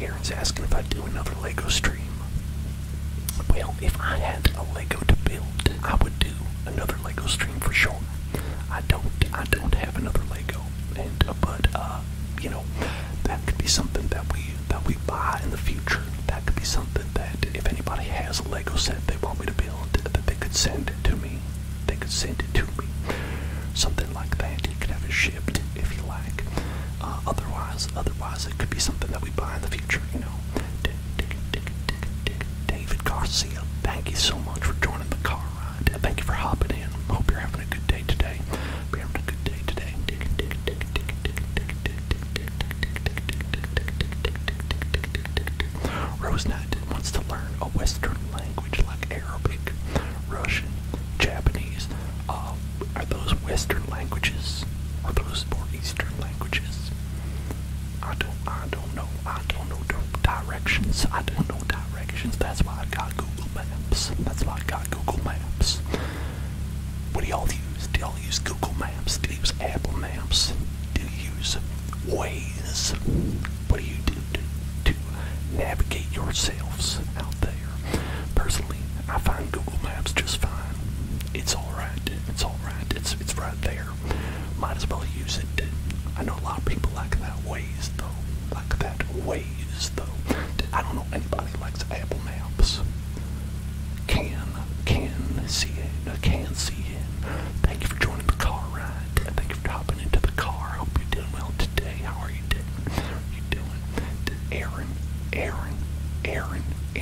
Aaron's asking if I do another Lego stream. Well, if I had a Lego to build, I would do another Lego stream for sure. I don't, I don't have another Lego, and uh, but uh, you know, that could be something that we that we buy in the future. That could be something that if anybody has a Lego set they want me to build, that they could send it to me. They could send it to me, something like that. You could have it shipped if you like. Uh, otherwise, otherwise it could be something that we buy in the future. You know, David Garcia, thank you so much for joining the car ride. Thank you for hopping in. Hope you're having a good day today. Be having a good day today. Rose Knight wants to learn a Western language like Arabic, Russian, Japanese, uh, um, are those Western languages? or those more Eastern languages? I don't, I don't know. I don't know directions. I don't know directions. That's why I got Google Maps. That's why I got Google Maps. What do y'all use? Do y'all use Google Maps? Do you use Apple Maps? Do you use Waze? What do you do to, to navigate yourselves out there? Personally, I find Google Maps just fine. It's alright. It's alright. It's it's right there. Might as well use it. I know a lot of people like that ways though. Like that ways though. I don't know anybody likes Apple Maps. Can can see it. I Can see it. Thank you for joining the car ride. Thank you for hopping into the car. Hope you're doing well today. How are you doing? How are you doing? Aaron, Aaron, Aaron,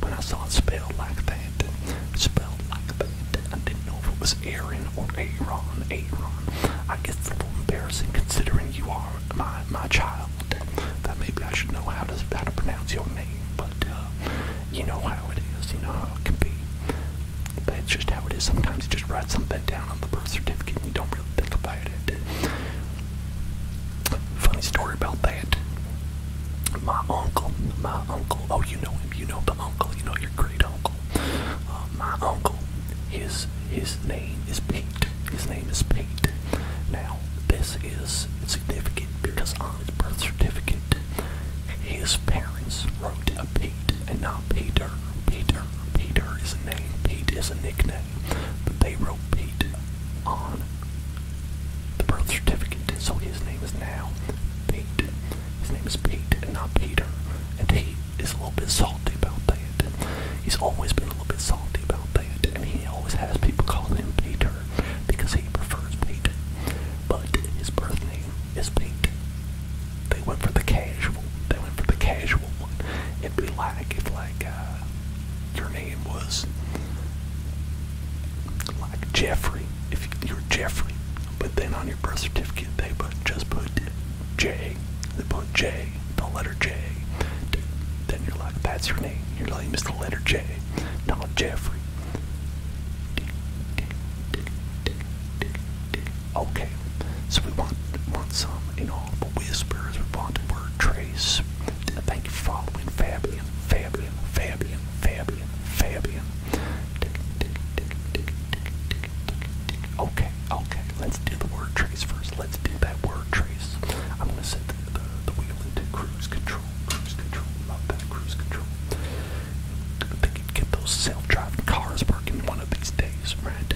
when I saw it spelled like that, spelled like that, I didn't know if it was Aaron or Aaron, Aaron. I guess it's a little embarrassing considering you are my my child. That maybe I should know how to how to pronounce your name, but uh, you know how it is. You know how it can be. That's just how it is. Sometimes you just write something down on the birth certificate and you don't really think about it. Funny story about that. My uncle, my uncle. Oh, you know you know the uncle. You know your great uncle. Uh, my uncle. His his name is Pete. His name is Pete. Now this is significant because on his birth certificate, his parents wrote a Pete and not Peter. Peter. Peter is a name. Pete is a nickname. But they wrote Pete on the birth certificate, so his name is now Pete. His name is Pete and not Peter, and he is a little bit salty about that. He's always been a little bit salty about that, and he always has people calling him Peter because he prefers Pete. But his birth name is Pete. They went for the casual. They went for the casual one. It'd be like if like uh, your name was like Jeffrey if you're Jeffrey, but then on your birth certificate they put, just put J. They put J, the letter J. Then you're like, that's your name. Your name is the letter J, not Jeffrey. Okay, so we want want some but whispers. We want the word trace. Thank you for following Fabian, Fabian, Fabian, Fabian. Fabian, Okay, okay, let's do the word trace first. Let's do that word trace. I'm gonna set the, the, wheel into cruise control. Cruise control, love that cruise control. get those self-driving cars working one of these days, right?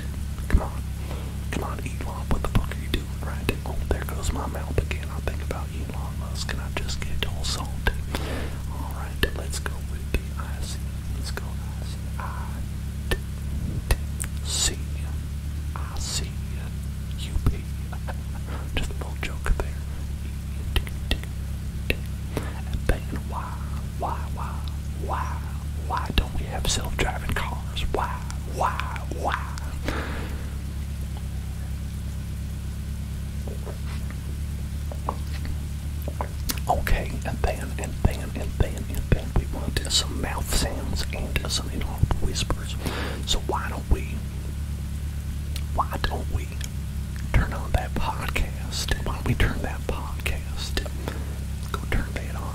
Come on, come on, Elon, what the fuck are you doing, right? Oh, there goes my mouth again. I think about Elon Musk, and I just get all salty. All right. Alright, let's go with the I C. Let's go I C. I D D C I C U P. Just a little joke there. E D D D. And then why, why, why, why, why don't we have self-driving cars? Why, why, why? Okay, and then, and then, and then, and then we want some mouth sounds and some little whispers. So why don't we, why don't we turn on that podcast? Why don't we turn that podcast? Go turn that on.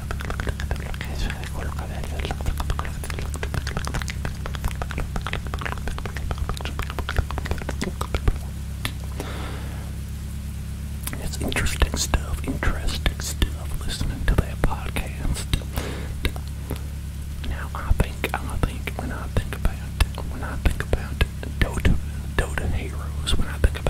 It's interesting stuff, interesting stuff, listening to that podcast. Now I think, I think, when I think about, when I think about Dota, Dota Heroes, when I think about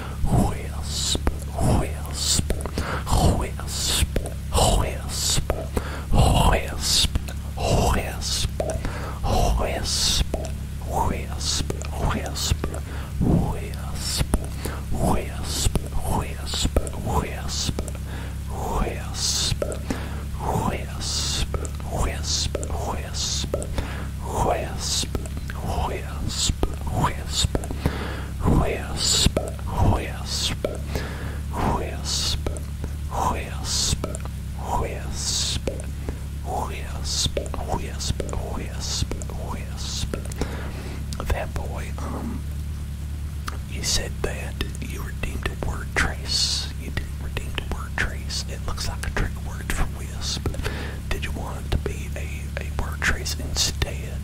Whisp, whisp, whisp, whisp, whisp, whisp, whisp, whisp, whisp, whisp, whisp, whisp, whisp, whisp, whisp, whisp, whisp, whisp, whisp, whisp. Whisp, whisp, whisp, whisp, whisp, whisp, whisp, whisp, whisp, whisp, whisp. That boy, um, you said that you redeemed a word trace. You didn't redeem a word trace. It looks like a trick word for wisp. Did you want it to be a, a word trace instead?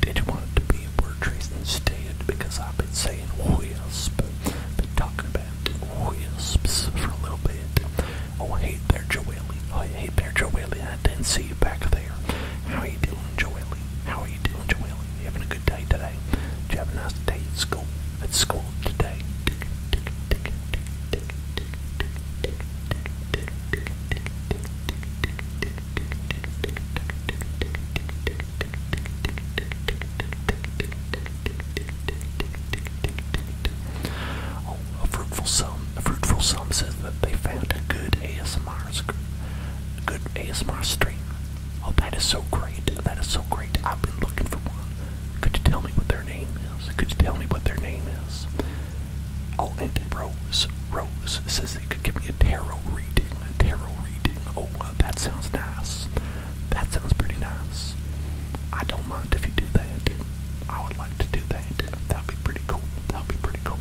Did you want it to be a word trace instead? Because I've been saying wisp, been talking about wisps for a little bit. Oh, hey there, Joelle. Oh, hey there,
Joelle. I didn't see you back there. How are you doing, Joelle? How are you doing, Joelle? You having a good day today? you have a nice day at school?
At school today? Oh, a fruitful sum. A fruitful sum Said that they found a good ASMR, a good ASMR stream. Oh, that is so great. That is so great. I've been looking for one. Could you tell me what their name is? Could you tell me what their name is? Oh, and Rose, Rose says they could give me a tarot reading, a tarot reading. Oh, uh, that sounds nice. That sounds pretty nice. I don't mind if you do that. I would like to do that. That'd be pretty cool. That'd be pretty cool.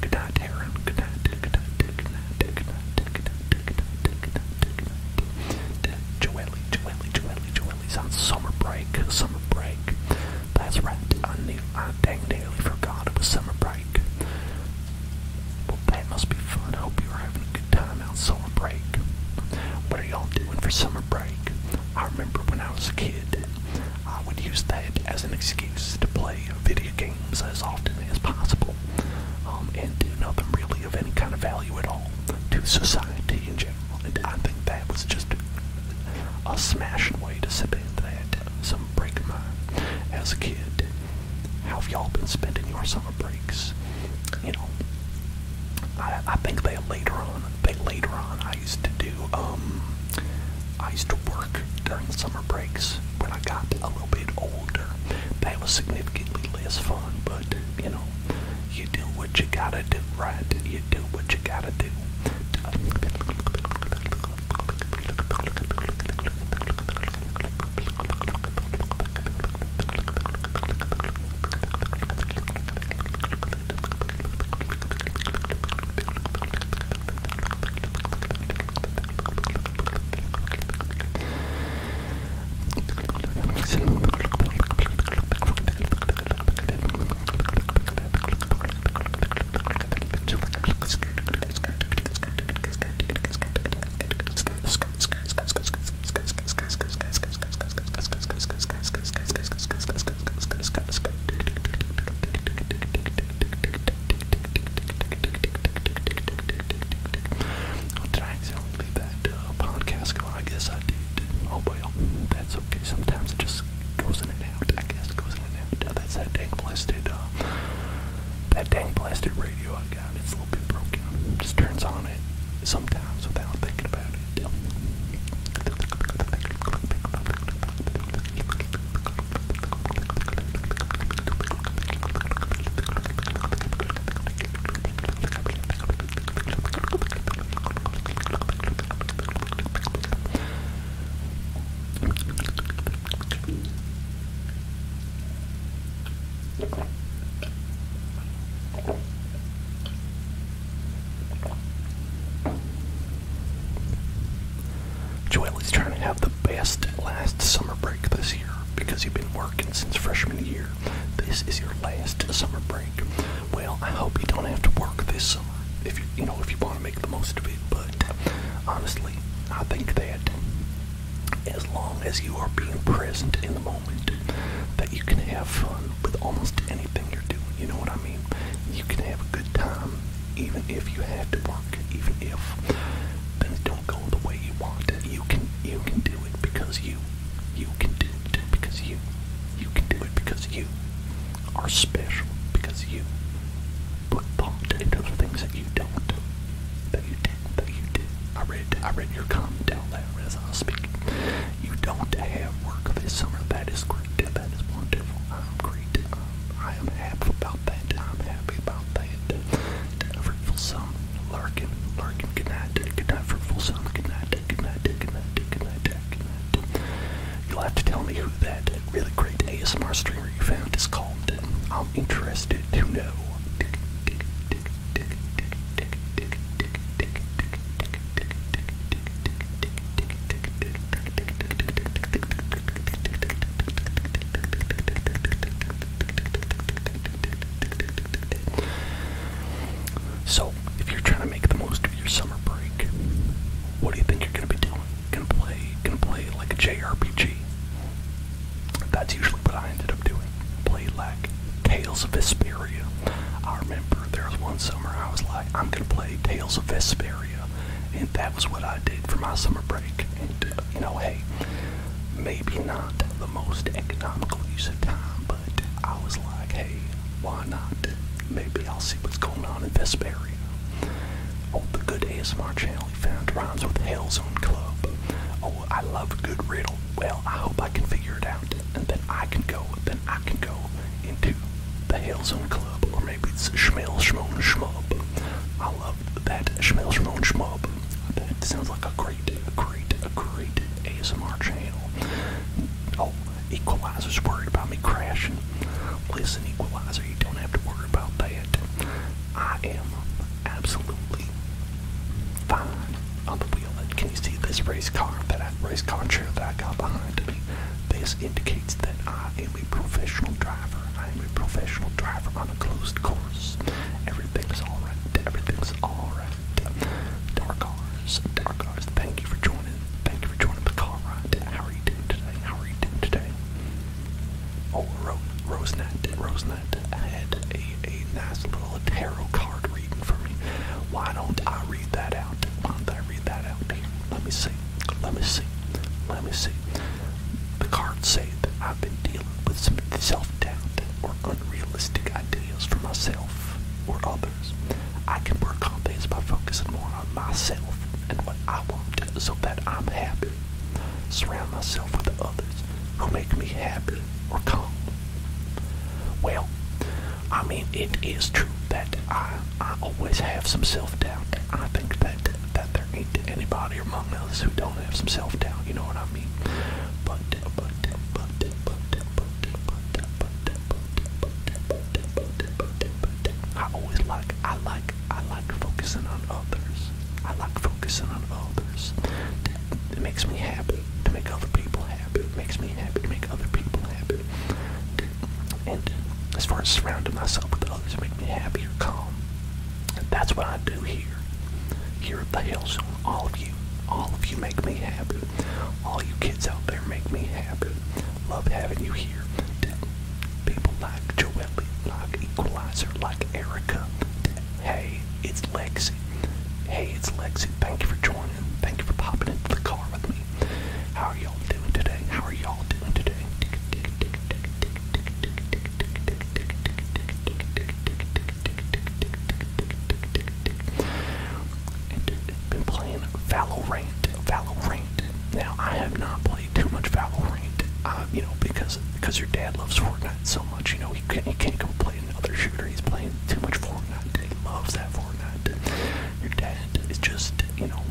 Good night, Aaron. Good night. Good night. Good night. Good night. Joelle, Joelle, Joelle, Joelle's on summer break, summer break. That's right, I knew, I dang nearly forgot it was summer break. Well, that must be fun. I hope you're having a good time out summer break. What are y'all doing for summer break? I remember when I was a kid, I would use that as an excuse to play video games as often as possible um, and do nothing really really of any kind of value at all to society in general. And I think that was just a smashing way to spend that summer break of mine as a kid. How have y'all been spending your summer breaks? You know, I, I think that later on, that later on, I used to do. Um, I used to work during summer breaks when I got a little bit older older, that was significantly less fun, but you know, you do what you gotta do, right? You do what you gotta do.
I'll try, so I'll be
back. Uh, podcast Go. I guess I did. Oh well, that's okay. Sometimes it just goes in and out. I guess it goes in and out. That's that dang blasted, uh, that dang blasted radio I got. It's a little bit broken. Just turns on it sometimes without thinking about it. Joel is trying to have the best last summer break this year because he's been working since freshman year year. This is your last summer break. Well, I hope you don't have to work this summer. If you you know if you want to make the most of it, but honestly, I think that as long as you are being present in the moment, that you can have fun with almost anything you're doing. You know what I mean? You can have a good time even if you have to work, even if things don't go the way you want. You can you can do it because you you can do it because you. You can do it because you are special because you put thought into the things that you don't. That you did. that you did. I read I read your comment out there as I was speaking. You don't have work this summer. That is great. That is wonderful. I'm great. I am happy about that. I'm happy about that. That fruitful summer. Larkin, Larkin, good night, good night, fruitful son, good night, good night, good night, good night, good night. You'll have to tell me who that really great ASMR streamer you found is called. I'm interested to know. So, if you're trying to make the most of your summer break, what do you think you're gonna be doing? Gonna play, gonna play like a JRPG. That's usually what I ended up doing. Play like Tales of Vesperia. I remember there was one summer I was like, I'm gonna play Tales of Vesperia, and that was what I did for my summer break. And uh, you know, hey, maybe not the most economical use of time, but I was like, hey, why not? Maybe I'll see what's going on in this area. Oh, the good ASMR channel he found rhymes with Hell's Own Club. Oh, I love a good riddle. Well, I hope I can figure it out, and then I can go, then I can go into the Hell's Own Club, or maybe it's Schmel Schmoen Schmub. I love that Schmel Schmoen Schmub. That sounds like a great great, a great ASMR channel. Oh, Equalizer's worried about me crashing. Listen, Equalizer, you don't have to worry about that. I am absolutely fine on the wheel. And can you see this race car, that I, race car chair that I got behind me? This indicates that I am a professional driver. I am a professional driver on a closed course. Everything's alright. Everything's alright. Dark Horse, Dark Horse, thank you for joining. Thank you for joining the car ride. How are you doing today? How are you doing today? Oh, RoseNet, RoseNet, Rosenat had a, a nice little tarot card reading for me. Why don't I read that out? Why don't I read that out here? Let me see. Let me see. Let me see. The card say that I've been dealing with some self doubt or unrealistic ideas for myself or others. I can work on things by focusing more on myself and what I want so that I'm happy. Surround myself with others who make me happy or calm. Well, I mean, it is true that I, I always have some self-doubt. I think that, that there ain't anybody among us who don't have some self-doubt, you know what I mean? But I always like I like I like focusing on others. I like focusing on others. It makes me happy to make other people happy. It makes me happy to make other people happy. And as far as surrounding myself with others, make me happy or calm. That's what I do here here. at the Hellzone, all of you, all of you make me happy. All you kids out there make me happy. Love having you here. People like Joelle, like Equalizer, like Erica. Hey, it's Lexi. Hey, it's Lexi. Thank you for joining. Thank you for popping into the car with me. How are y'all doing today? How are y'all doing today? And I've been playing Valorant. Valorant. Now I have not played too much Valorant, uh, you know, because because your dad loves Fortnite so much. You know, he can't he can't go play another shooter. He's playing too much Fortnite. He loves that Fortnite. Your dad is just, you know,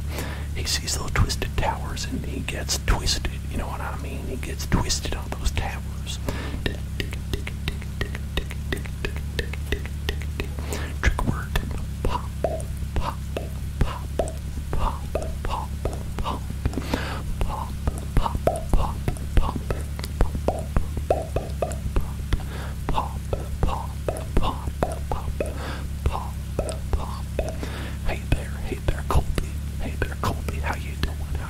he sees those twisted towers and he gets twisted. You know what I mean? He gets twisted on those towers. Trick word. Pop, pop, pop, pop, pop, pop, pop, pop, pop, pop, pop, pop, pop, pop, pop, Hey there, hey there, Colby. Hey there, Colby. How you doing? How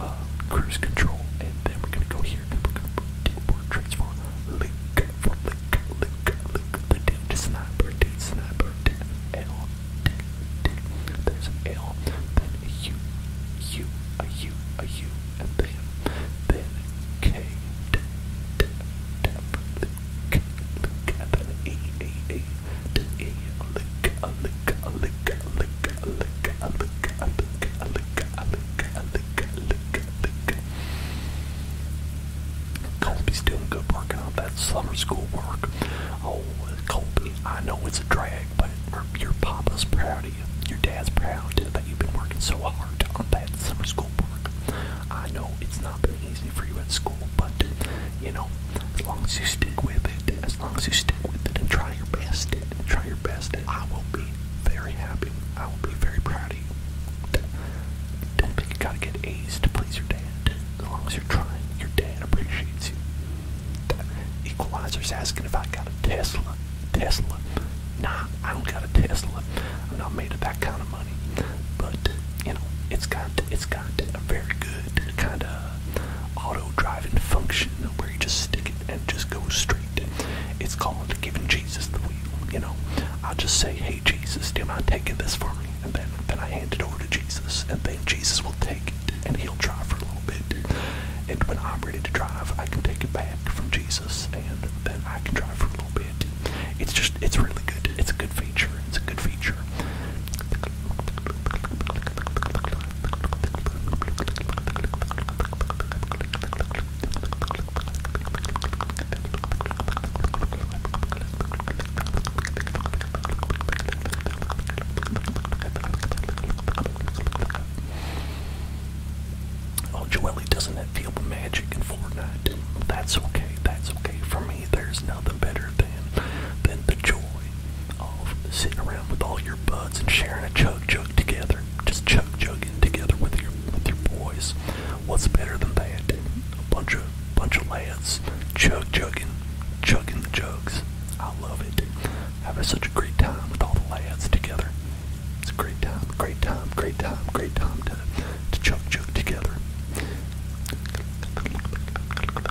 uh, cruise control, and then we're gonna go here and we're going do more trades Link, for Link, Link, Link, the Dead Sniper, Dead Sniper, Dead L, Dead, Dead, there's L, then a U, U, a U, a U, and then, then K, D, D, D, Link, Link, and then E, E, E, D, E, Link, a Link, Link, lick, doing good working on that summer school work. Oh, Colby, I know it's a drag, but your papa's proud of you. Your dad's proud that you've been working so hard on that summer school work. I know it's not been easy for you at school, but you know as long as you stick with it, as long as you stick with it and try your best, and try your best, I will be very happy. I will be very proud of you. Don't think you gotta get A's to please your dad. As long as you're trying, your dad appreciates you. That equalizer's asking if I got a Tesla. Tesla. Nah, I don't got a Tesla. I'm not made of that kind of money. But, you know, it's got it's got a very good kind of uh, auto-driving function where you just stick it and just go straight. It's called giving Jesus the wheel. You know, I just say, "Hey Jesus, do you mind taking this for me?" And then then I hand it over to Jesus, and then Jesus will take it and he'll drive for a little bit. And when I'm ready to drive, I can take it back from Jesus, and then I can drive for a little bit. It's just, it's really good. It's a good feature. It's a good feature. The Oh, Joelly, doesn't it feel magic in Fortnite? That's okay, that's okay. For me, there's nothing better than than the joy of sitting around with all your buds and sharing a chug jug together. Just chug jugging together with your with your boys. What's better than that? A bunch of bunch of lads chug jugging, chugging the jugs. I love it. Having such a great time with all the lads together. It's a great time, great time, great time, great time to to chug jug together.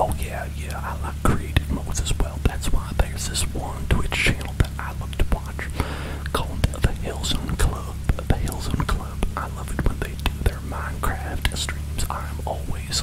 Oh, yeah, yeah, I like creative modes as well. That's why there's this one Twitch channel that I love to watch called The Hillzone Club. The Hillzone Club. I love it when they do their Minecraft streams. I'm always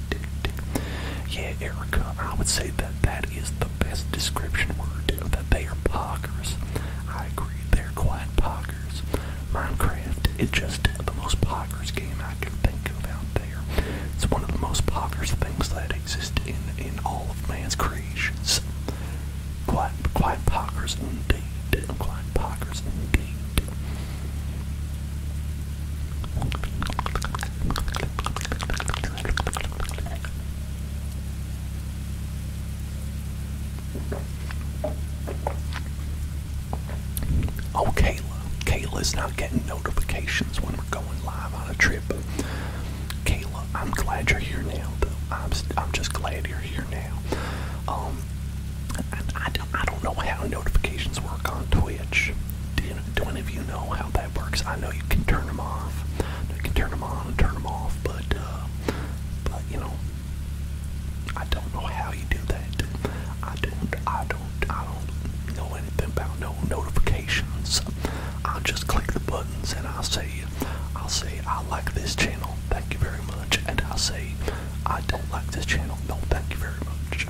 Yeah, Erica, I would say that that is the best description word, that they are poggers. I agree, they're quiet poggers. Minecraft is just the most poggers game I can think of out there. It's one of the most poggers things that exist in, in all of man's creations. Quiet, quite poggers indeed, quite poggers indeed. Oh, Kayla. is not getting notifications when we're going live on a trip. Kayla, I'm glad you're here now, though. I'm, I'm just glad you're here now. Um, I, I, don't, I don't know how notifications work on Twitch. Do you know, do any of you know how that works? I know you can turn them off. You can turn them on and turn them off, but, uh, but you know, I don't know how you do that. I don't, I don't, I don't know anything about no notifications. I just click the buttons and I say, I'll say I like this channel, thank you very much, and I say I don't like this channel, no, thank you very much.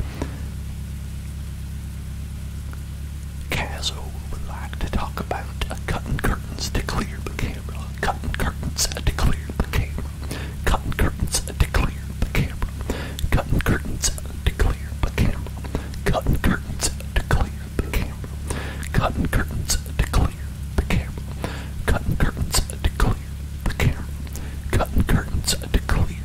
Caso would like to talk about uh, cutting curtains to clear the camera. Cutting curtains uh, to clear the camera. Cutting curtains uh, to clear the camera. Cutting curtains uh, to clear the camera. Cutting curtains uh, to clear the camera. Cutting curtains uh, to clear the camera. Cutting curtains uh, to clear the camera. Cutting curtains uh, to clear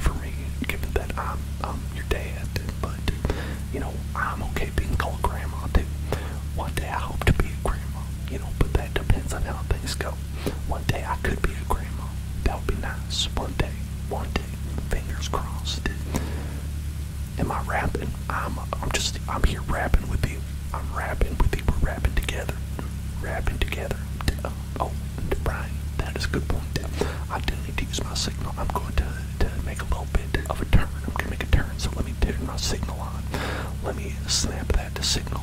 for me, given that I'm, um, your dad. But, you know, I'm okay being called grandma too. One day I hope to be a grandma, you know, but that depends on how things go. One day I could be a grandma. That would be nice. One day.
One day. Fingers crossed. Am I rapping? I'm I'm just I'm here rapping with you. I'm rapping with you. We're rapping together. Rapping together. Uh, oh, right? That is a good point. I do need to use my signal. I'm going to, to make a little bit of a turn. I'm going to make a turn, so let me turn my signal on. Let me snap that to signal.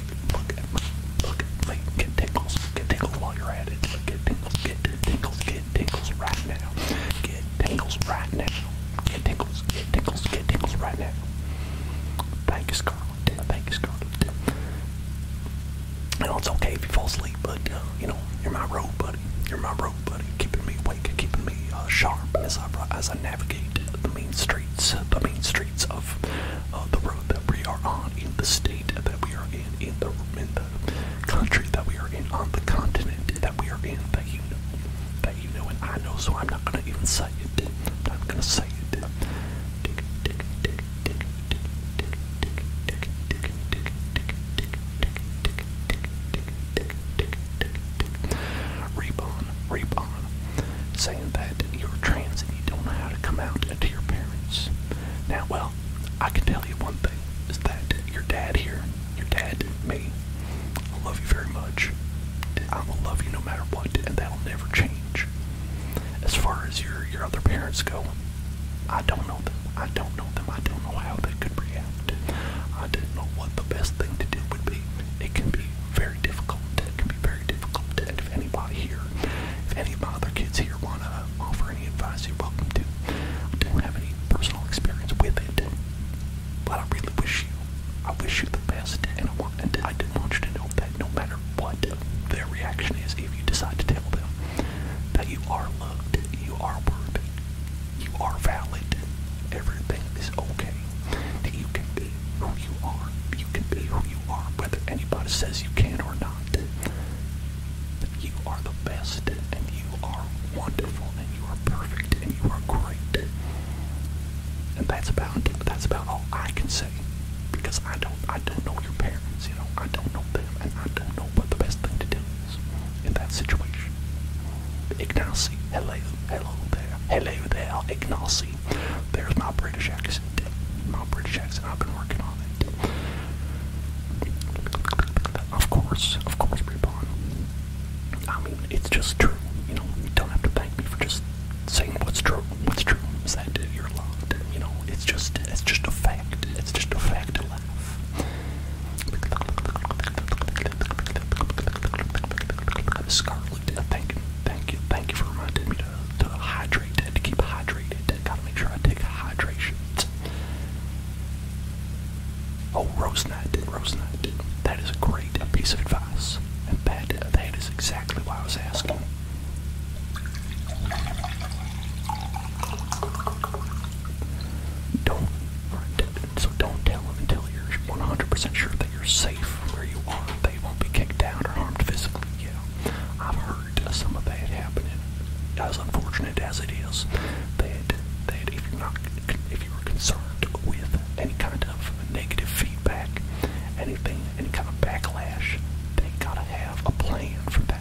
link, look at me, look at me, get tingles, get tingles while you're at it, get tingles, get tingles, get tingles right now, get tingles right now, get tingles, get tingles, get tingles right now. Thank you, Scarlet, thank you, Scarlet. You know, it's okay if you fall asleep, but, uh, you know, you're my road buddy, you're my road buddy, keeping me awake, keeping me uh, sharp as I, as I navigate the mean streets, the mean streets streets of uh, the road that we are on, in the state that we are in, in the, in the country that we are in, on the continent that we are in, that you know, that you know and I know, so I'm not gonna even say it. I'm not gonna say it. Rebon, Rebon, saying that you're trans and you don't know how to come out to your parents. Now, well, I can tell you one thing is that your dad here, your dad, me, I love you very much. I will love you no matter what, and that'll never change. As far as your your other parents go, I don't know them. I don't know them. I don't know how they could react. I didn't know what the best thing to do would be. It can be very difficult. It can be very difficult. And if anybody here, if any of my other kids here wanna uh, offer any advice, you're welcome to. I don't have any personal experience with it, but I really wish you, I wish you the best, and I want, not want you to know that no matter what their reaction is, if you decide to tell them that you are loved, you are worthy, you are valid, everything is okay, that you can be who you are, you can be who you are, whether anybody says you can or not. But you are the best, and you are wonderful, and you are perfect, and you are great. And that's about that's about all I can say, because I don't I don't know your parents, you know I don't know them, and I don't know what the best thing to do is in that situation. Ignacy, hello, hello there, hello there, Ignacy. There's my British accent. Jackson did. Well, I've been working on it. Of course, of course, Reborn. I mean, it's just true. You know, you don't have to thank me for just saying what's true. What's true is that you're loved. You know, it's just, it's just a fact. It's just a fact to laugh. Scarlet, thank you, thank you, thank you for reminding me to hydrate hydrated, keep hydrated. Gotta make sure I take hydration. Oh, Rose Knight did, Rose Knight did. That is a great piece of advice. And that, that is exactly why I was asking. Don't, so don't tell them until you're 100% sure that you're safe where you are. They won't be kicked out or harmed physically. Yeah, I've heard heard some of that happening. As unfortunate as it is, that that if you're not if you are concerned with any kind of negative feedback, anything, any kind of backlash, they gotta have a plan for that.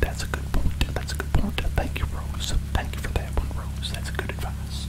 That's a good point. That's a good point. Thank you, Rose. Thank you for that one, Rose. That's good advice.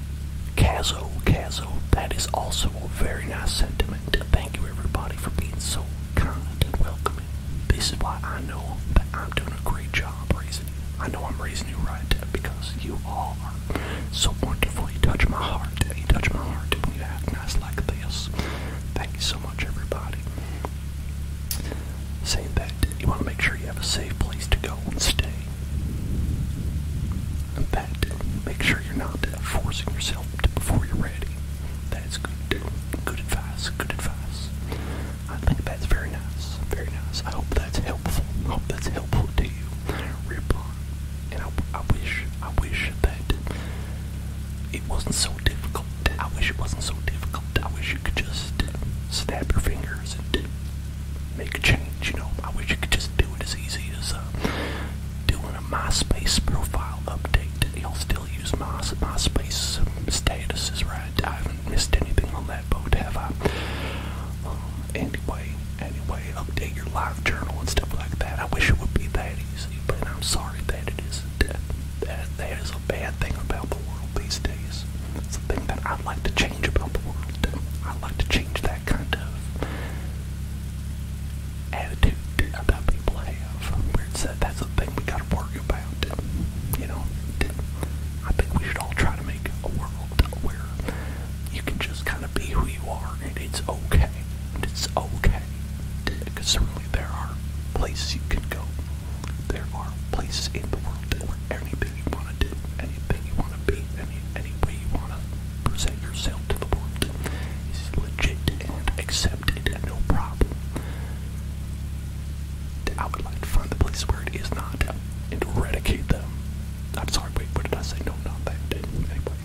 Cazo, Cazo, that is also a very nice sentiment. Thank you everybody for being so kind and welcoming. This is why I know that I'm doing a great job raising you. I know I'm raising you right because you are so wonderful. You touch my heart. You touch my heart when you act nice like this. Thank you so much everybody. Saying that, you want to make sure you have a safe place to go and stay. In make sure you're not forcing yourself before you're ready. That's good. Good advice. Good advice. I think that's very nice. Very nice. I hope that's helpful. hope that's helpful to you. Ripon. And I, I wish, I wish that it wasn't so difficult. I wish it wasn't so difficult. I wish you could just snap your fingers and make a change, you know. I wish you could just do it as easy as uh, doing a MySpace profile update. You'll still use my, MySpace statuses, right? I haven't missed anything on that boat, have I? Um, anyway, anyway, update your live journal and stuff like that. I wish it would be that easy, but I'm sorry that it isn't. That, that is a bad thing about the world these days. It's a thing that I'd like to change change about the world. I like to change that kind of attitude that people have. Where it's that uh, that's the thing we gotta worry about. You know, I think we should all try to make a world where you can just kind of be who you are, and it's okay. And it's okay. Because certainly there are places you can go. There are places in the world where anything you want to do, anything you want to be, anything any way you want to present yourself to the world is legit and accepted, no problem. I would like to find the place where it is not and eradicate them. I'm sorry, wait, what did I say? No, not that. Anyway.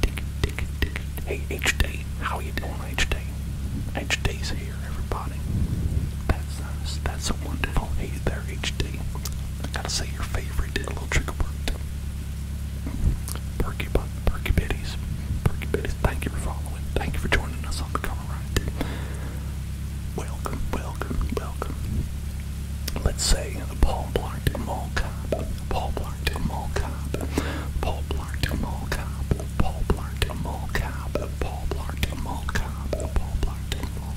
Dick, dick, dick. Hey, h how you doing, H-Day? h here, everybody. That's nice. Uh, that's so wonderful. Hey there, h I gotta say your favorite little trick of work. Perky, perky Biddies. Perky Biddies, thank you for following. Thank you for joining us on the cover ride. Welcome, welcome, welcome. Let's say Paul Blart Mall Cop. Paul Blart Mall Cop. Paul Blart Mall Cop. Paul Blart Mall Cop. Paul Blart Mall Cop. Paul Blart Mall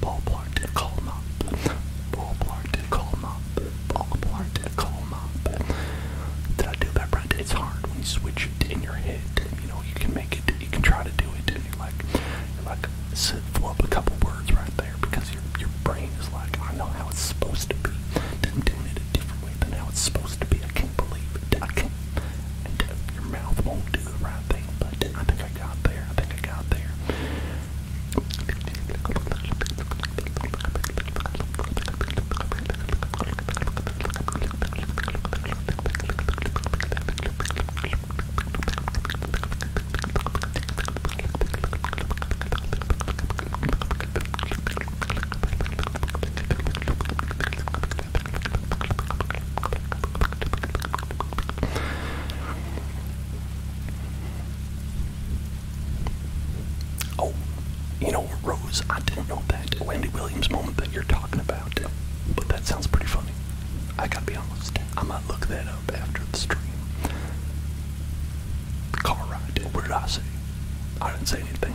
Ballpark to call mop. Ballpark to call mop. Ballpark to call mop. Did I do that right? It's hard when you switch it in your head. You know, you can make it, you can try to do it, and you're like, you're like, flub a couple words right there because your your brain is like, I know how it's supposed to be. I'm doing it a different way than how it's supposed to be. I can't believe it. I can't. And uh, your mouth won't do the right thing, but I think I got there. I think I got there. Oh, you know, Rose, I didn't know that Wendy Williams moment that you're talking about, but that sounds pretty funny. I gotta be honest, I might look that up after the stream. Car ride, what did I say? I didn't say anything.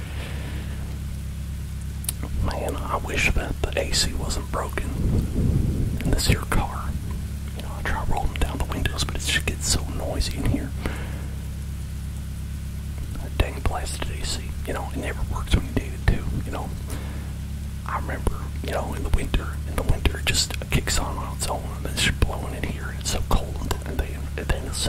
Man, I wish that the AC wasn't broken in this here car. You know, I try rolling down the windows, but it just gets so noisy in here. That dang blasted AC. You know, it never works when you need it to. You know, I remember, you know, in the winter, in the winter, it just kicks on on its own, and it's blowing in here. and It's so cold, and then, and then as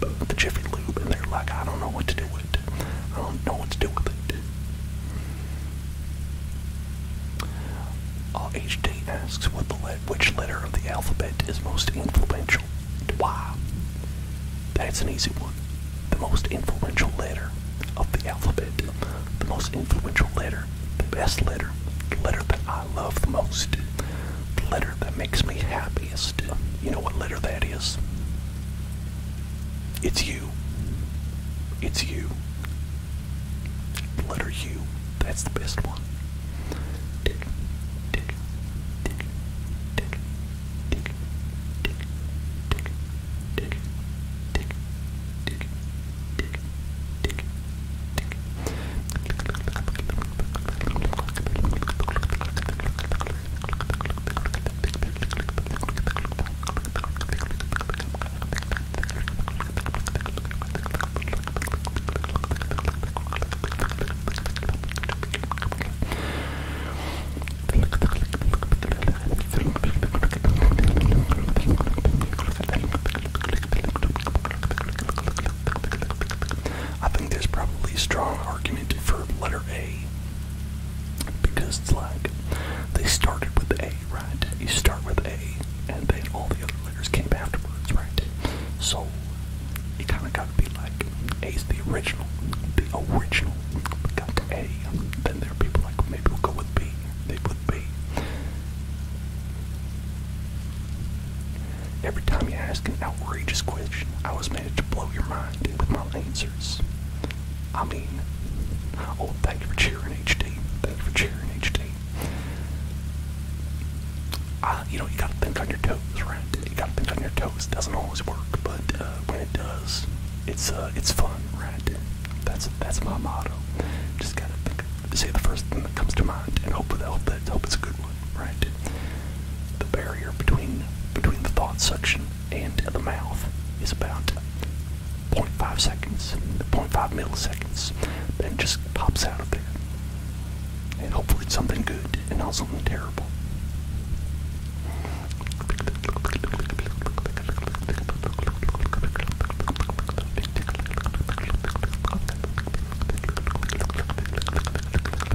the Jiffy Lube, and they're like, I don't know what to do with it. I don't know what to do with it. Uh, HD asks what the which letter of the alphabet is most influential. Why? That's an easy one. The most influential letter of the alphabet. The most influential letter. The best letter. The letter that I love the most. The letter that makes me happiest. You know what letter that is? It's you. It's you. Letter U. That's the best one. I think there's probably a strong argument for letter A because it's like they started with A, right? You start with A, and then all the other letters came afterwards, right? So it kind of got to be like A's the original, the original. got A, then there are people like maybe we'll go with B, maybe with B. Every time you ask an outrageous question, I was managed to blow your mind with my answers. I mean, oh, thank you for cheering, HD. Thank you for cheering, HD. you know, you gotta think on your toes, right? You gotta think on your toes. doesn't always work, but uh, when it does, it's uh, it's fun, right? That's that's my motto. Just gotta think, say the first thing that comes to mind, and hope that hope that hope it's a good one, right? The barrier between between the thought section and the mouth is about 0.5 seconds, 0.5 milliseconds. Then just pops out of there. And hopefully it's something good and not something terrible.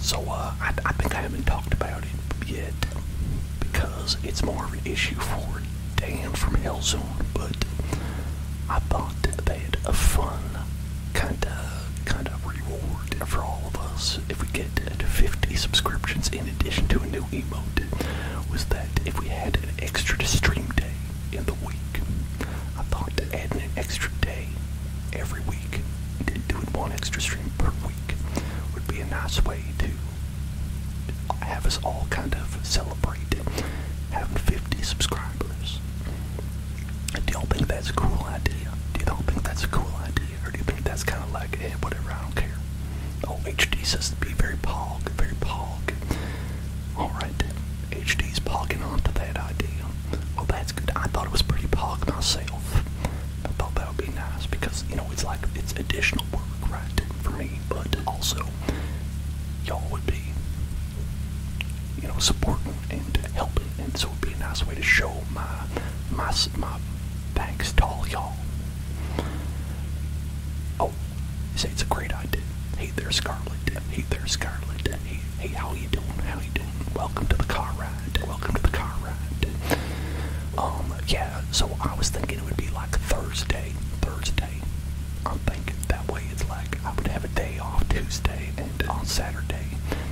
So uh, I, I think I haven't talked about it yet because it's more of an issue for Dan from Hellzone, but I thought that a fun kind of kind of reward for all of us if we get 50 subscriptions in addition to a new emote was that if we had an extra stream day in the week, I thought that adding an extra day every week, doing one extra stream per week, would be a nice way to have us all kind of celebrate having 50 subscribers customers. Do y'all think that's a cool idea? Do y'all think that's a cool idea? Or do you think that's kind of like, hey, eh, whatever, I don't care? Oh, HD says to be very pog, very pog. Alright then, HD's pogging onto that idea. Oh, that's good. I thought it was pretty pog myself. I thought that would be nice because, you know, it's like, it's additional work, right, for me, but also, y'all would be you know, supporting and helping, and so it'd be a nice way to show my my my thanks to all y'all. Oh, say it's a great idea. Hey there, Scarlet. Hey there, Scarlet. Hey, hey, how you doing? How you doing? Welcome to the car ride. Welcome to the car ride. Um, yeah. So I was thinking it would be like Thursday, Thursday, I'm thinking that way it's like I would have a day off Tuesday and on Saturday.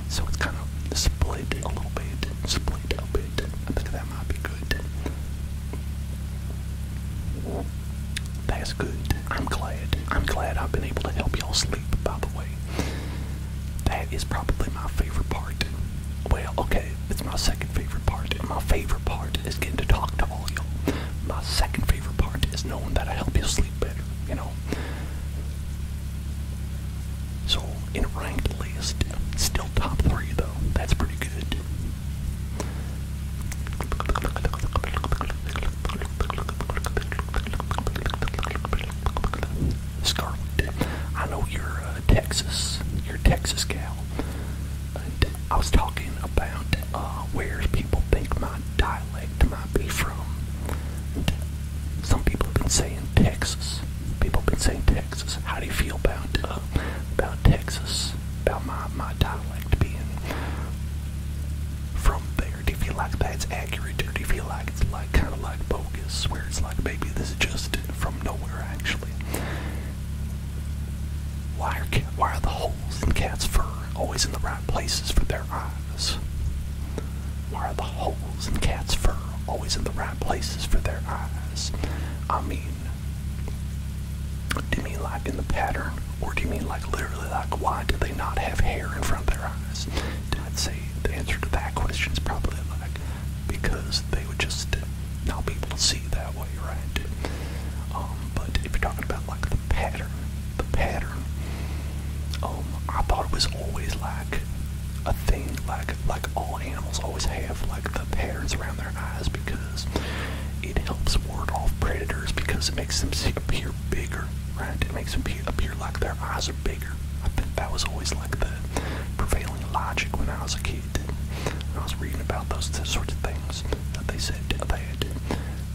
So it's kind of split a little bit, split a bit. I think that might be good. That's good. I'm glad. I'm glad I've been able to help y'all sleep, by the way. That is probably my favorite part. Well, okay, it's my second favorite part. and My favorite part is getting to talk to all y'all. My second favorite part is knowing that I help you sleep better, you know. So, in a ranked list, still top three though. That's pretty good. Scarlet, I know you're uh, Texas. You're Texas gal. And I was talking about uh, where people think my dialect might be from. Some people have been saying Texas. People have been saying Texas. How do you feel about uh, about Texas? About my my dialect being from there? Do you feel like that's accurate, or do you feel like it's like kind of like bogus, where it's like maybe this is just from nowhere actually? Why are cat, why are the holes in cat's fur always in the right places for their eyes? Why are the holes in cat's fur always in the right places for their eyes? I mean, do you mean like in the pattern, or do you mean like literally like why do they not have hair in front of their eyes? I'd say the answer to that question is probably like because they would just not be able to see that way, right? Um, but if you're talking about like the pattern, the pattern. Um, I thought it was always like a thing, like like all animals always have like the patterns around their eyes because it helps ward off predators because it makes them appear bigger, right? It makes them appear, appear like their eyes are bigger. I think that was always like the prevailing logic when I was a kid. I was reading about those sorts of things that they said they had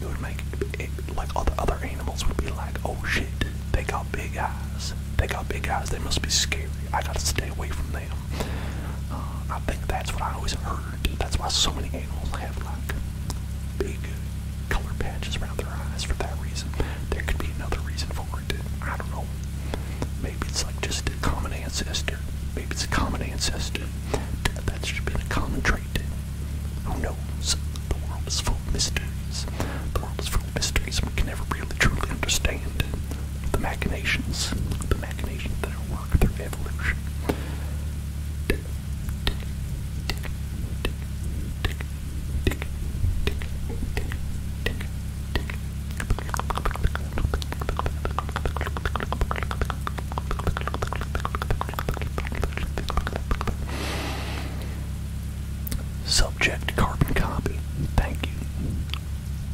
it would make it, like all the other animals would be like, oh shit, they got big eyes. They got big eyes. They must be scary. I gotta stay away from them. Uh, I think that's what I always heard. That's why so many animals have like big color patches around their eyes for that reason. There could be another reason for it. I don't know. Maybe it's like just a common ancestor. Maybe it's a common ancestor. That's just been a common trait. Who knows? The world is full of mysteries. The world is full of mysteries we can never really truly understand. The machinations, the machinations that are work through evolution. Subject carbon copy. Thank you.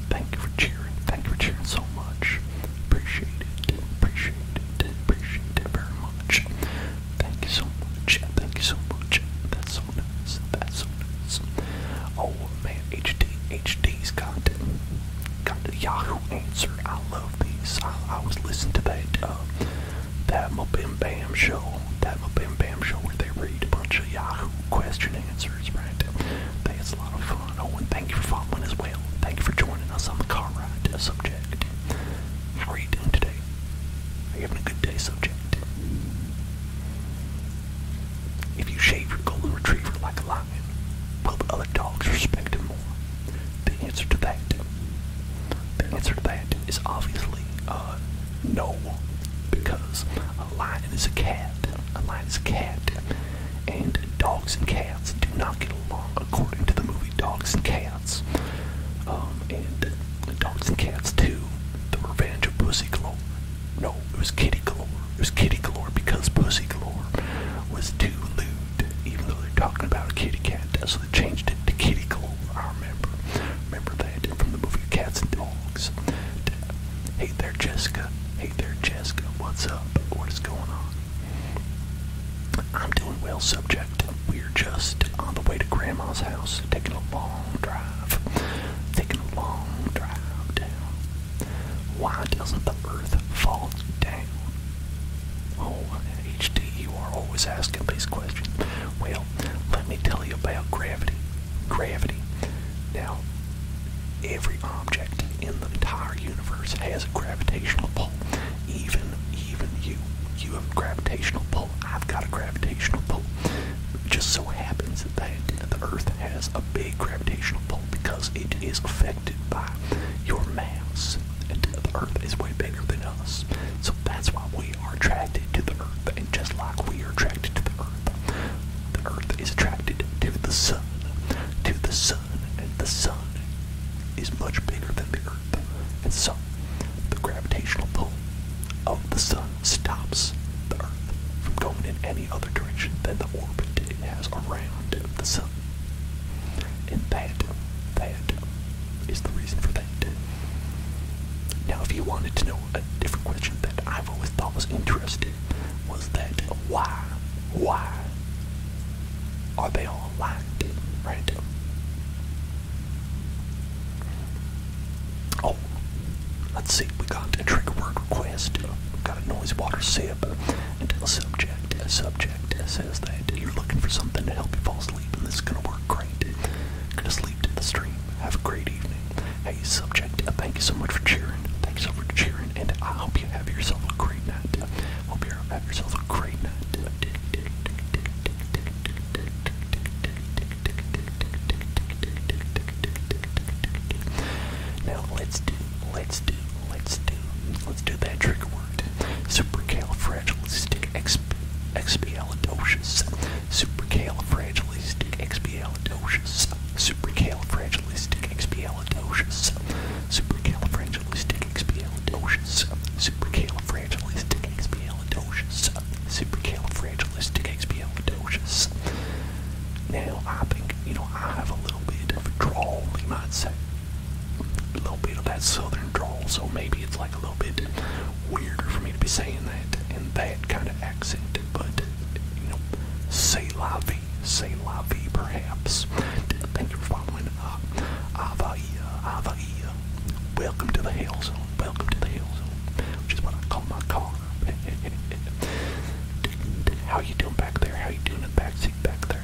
Thank you for cheering. Thank you for cheering so much. Appreciate it. Appreciate it. Appreciate it very much. Thank you so much. Thank you so much. That's so nice. That's so nice. Oh man, HD HD's got to, got to Yahoo answer. I love I, was listening to that uh, that Bim Bam show, that Bim Bam show where they read a bunch of Yahoo question and answers, right? That's a lot of fun. Oh, and thank you for following as well. Thank you for joining us on the car ride subject. How are you doing today? Are you having a good day, subject? If you shave your golden retriever like a lion, will the other dogs respect him more? The answer to that the answer to that is obviously uh, no, because a lion is a cat. A lion is a cat, and dogs and cats do not get along according to the movie Dogs and Cats. Um, and Dogs and Cats 2, The Revenge of Pussy Galore. No, it was Kitty Galore. It was Kitty Galore because Pussy Galore was too loose even though they're talking about a kitty cat, so they changed it to kitty glow. I remember, remember that from the movie Cats and Dogs. Hey there, Jessica. Hey there, Jessica. What's up? What is going on? I'm doing well, subject. We're just on the way to Grandma's house, taking a long drive. Taking a long drive down. Why doesn't the earth fall down? Oh, HD, you are always asking these questions. Well, let me tell you about gravity. Gravity. Now, every object in the entire universe has a gravitational pull. Even, even you. You have a gravitational pull. I've got a gravitational pull. It just so happens that the Earth has a big gravitational pull because it is affected by your mass and the earth is way bigger than us. So that's why we are attracted to the earth. And just like we are attracted to the earth, the earth is attracted to the sun. To the sun. And the sun is much bigger than the earth. And so the gravitational pull of the sun stops the earth from going in any other direction than the orbit it has around the sun. And that, that is the reason for that. Now, if you wanted to know a different question that I've always thought was interesting, was that why, why are they all aligned, right? Oh, let's see, we got a trigger word request, we have got a noise water sip, and a subject, a subject object says that you're looking for something to help you fall asleep, and this is going to work great. Gonna sleep to the stream. Have a great evening. Hey, subject, uh, thank you so much for cheering. Thanks so much for cheering, and I hope you have yourself a great night. Hope you have yourself a great night. Now let's do, let's do, let's do, let's do that trigger word word. Supercalifragilisticexpialidocious. Supercalifragilisticexpialidocious. Supercalifragilisticexpialidocious. Supercalifragilisticexpialidocious. Supercalifragilisticexpialidocious. Supercalifragilisticexpialidocious. Now I think you know I have a little bit of a drawl, you might say a little bit of that southern drawl, so maybe it's like a little bit weirder for me to be saying that in that kind of accent. But you know, say la vie, say la vie, perhaps. Thank you for following. Uh, Avaia, Avaia. Welcome to the hills, zone. Welcome to the hills. zone, which is what I call my car. How you doing back there? How you doing in the backseat back there?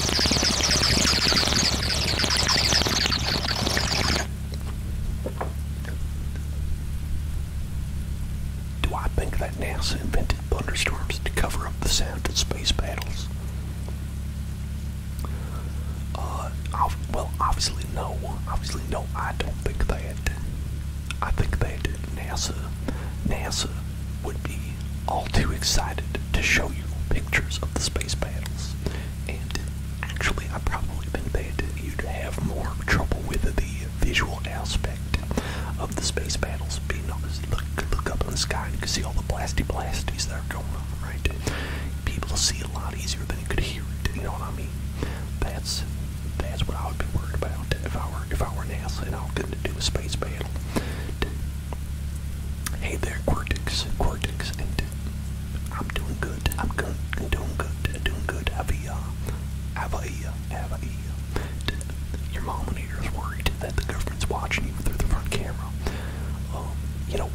Do I think that NASA invented thunderstorms to cover up the sound of space battles? Uh, well, obviously no. Obviously no, I don't think that. I think that NASA, NASA would be all too excited to show you pictures of the space battles. And actually, I've probably been bad to you to have more trouble with the visual aspect of the space battles. Being able to look, look up in the sky and you can see all the blasty blasties that are going on, right? People see a lot easier than you could hear it. You know what I mean? That's that's what I would be worried about if I were if I were NASA and all I could do a space battle. Hey there, Cortex, Cortex, and I'm doing good. I'm good. I'm doing good. I'm doing good. Have a, uh, have a, uh, have a. Uh, your mom and is worried that the government's watching you through the front camera. Um, you know,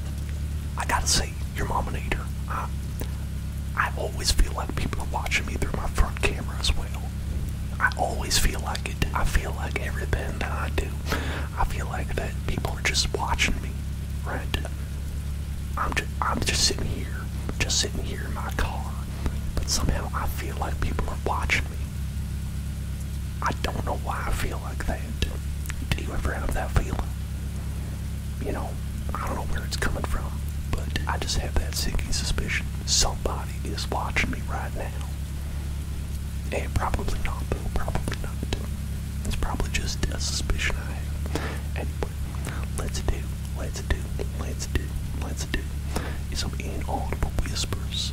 I gotta say, your mom and I, I always feel like people are watching me through my front camera as well. I always feel like it. I feel like everything that I do. I feel like that people are just watching me, right? I'm just, I'm just sitting here, just sitting here in my car, but somehow I feel like people are watching me. I don't know why I feel like that. Do you ever have that feeling? You know, I don't know where it's coming from, but I just have that sinking suspicion. Somebody is watching me right now. Eh, probably not, though. Probably not. It's probably just a suspicion I have. Anyway, let's do, let's do, let's do, let's do It's all some inaudible whispers.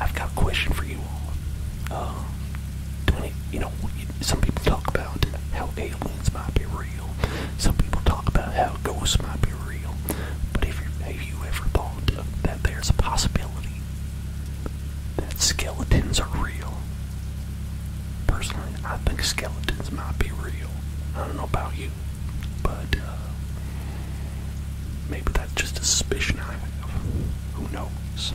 I've got a question for you all. Uh, You know, some people talk about how aliens might be real. Some people talk about how ghosts might be real. But if have you ever thought that there's a possibility that skeletons are real. Personally, I think skeletons might be real. I don't know about you, but uh, maybe that's just a suspicion I have. Who knows?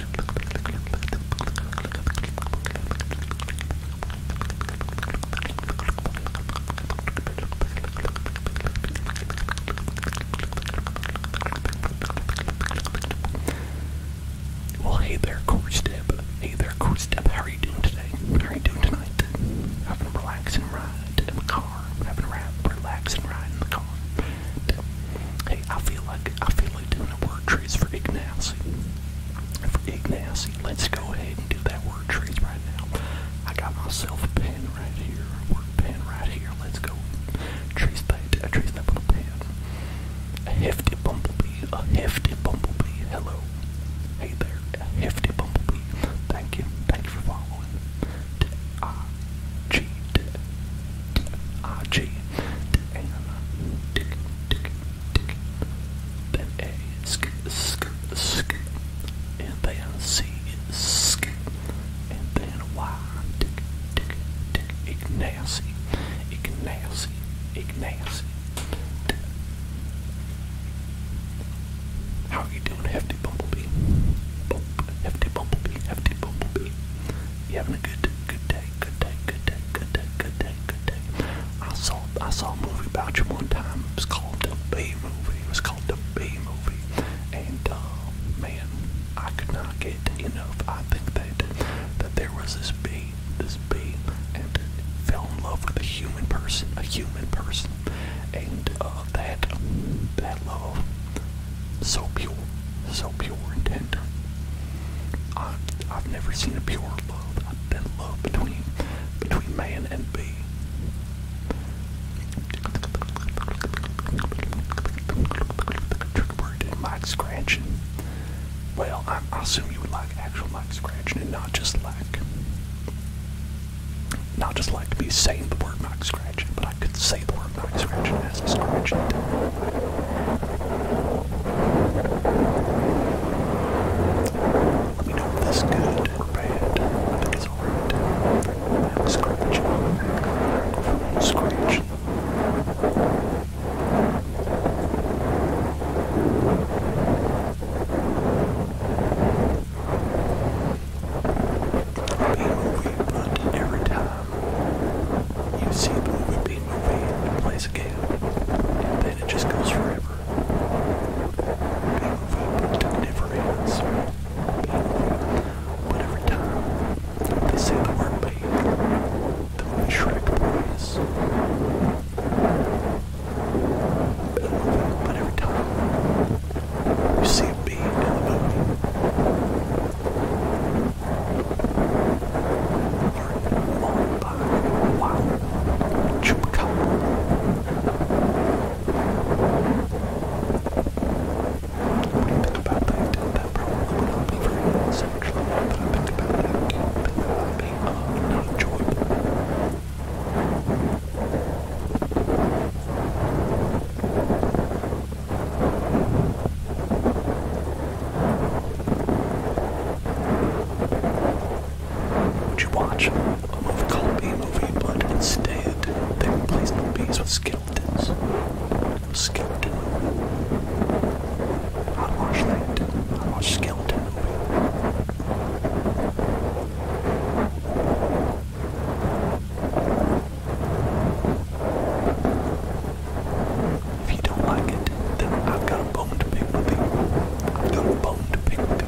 Well, hey there, Coach Step. Hey there, Coach Step. How are you doing today? How are you doing tonight? Having a relaxing ride in the car. Having a relaxing ride in the car. Hey, I feel like I feel like doing a word trace for Ignacy. For Ignacy, let's go ahead and do that word trace right now. I got myself a pen right here, a word pen right here. Let's go trace that. trace that little pen. A hefty bumblebee. A hefty bumblebee. Hello. Hey there. A hefty bumblebee. Thank you. Thank
you for following. D I G D RG, and
then C, sk, and then Y, tick, tick, tick, How are you doing, hefty bumblebee? hefty bumblebee, hefty bumblebee. You having a good, good day? good day, good day, good day, good day, good day. I saw I saw a movie about you one time. It was called the B movie. It was called the B movie. And uh, man, I could not get enough. I think that that there was this bee, this bee, and fell in love with a human person, a human person, and uh, that that love so pure, so pure pure intent. I, I've never seen a pure love, that love between between man and bee. Trigger word mic scratching. Well, I, I assume you would like actual mic scratching and not just like, not just like me saying the word mic scratching, but I could say the word mic scratching as he scratched it. Let me know if this is good or bad. I think it's alright. I'm scratching. I'm scratching. Being movie, but every time you see a movie, be movie, it plays a game, and then it just goes forever. Being movie never ends. But every time they say the word babe, the movie Shrek plays. But every time you see a bee in the movie, what
do you think about that? That probably would not be very nice, But I think about that. Think about being uh, not enjoyable.
Would you watch a movie called B movie, but instead they replaced the bees with skeletons? Skeleton movie. i watched watch I'd skeleton movie. If you don't like it, then I've got a bone to pick with you. I've got a to pick with you.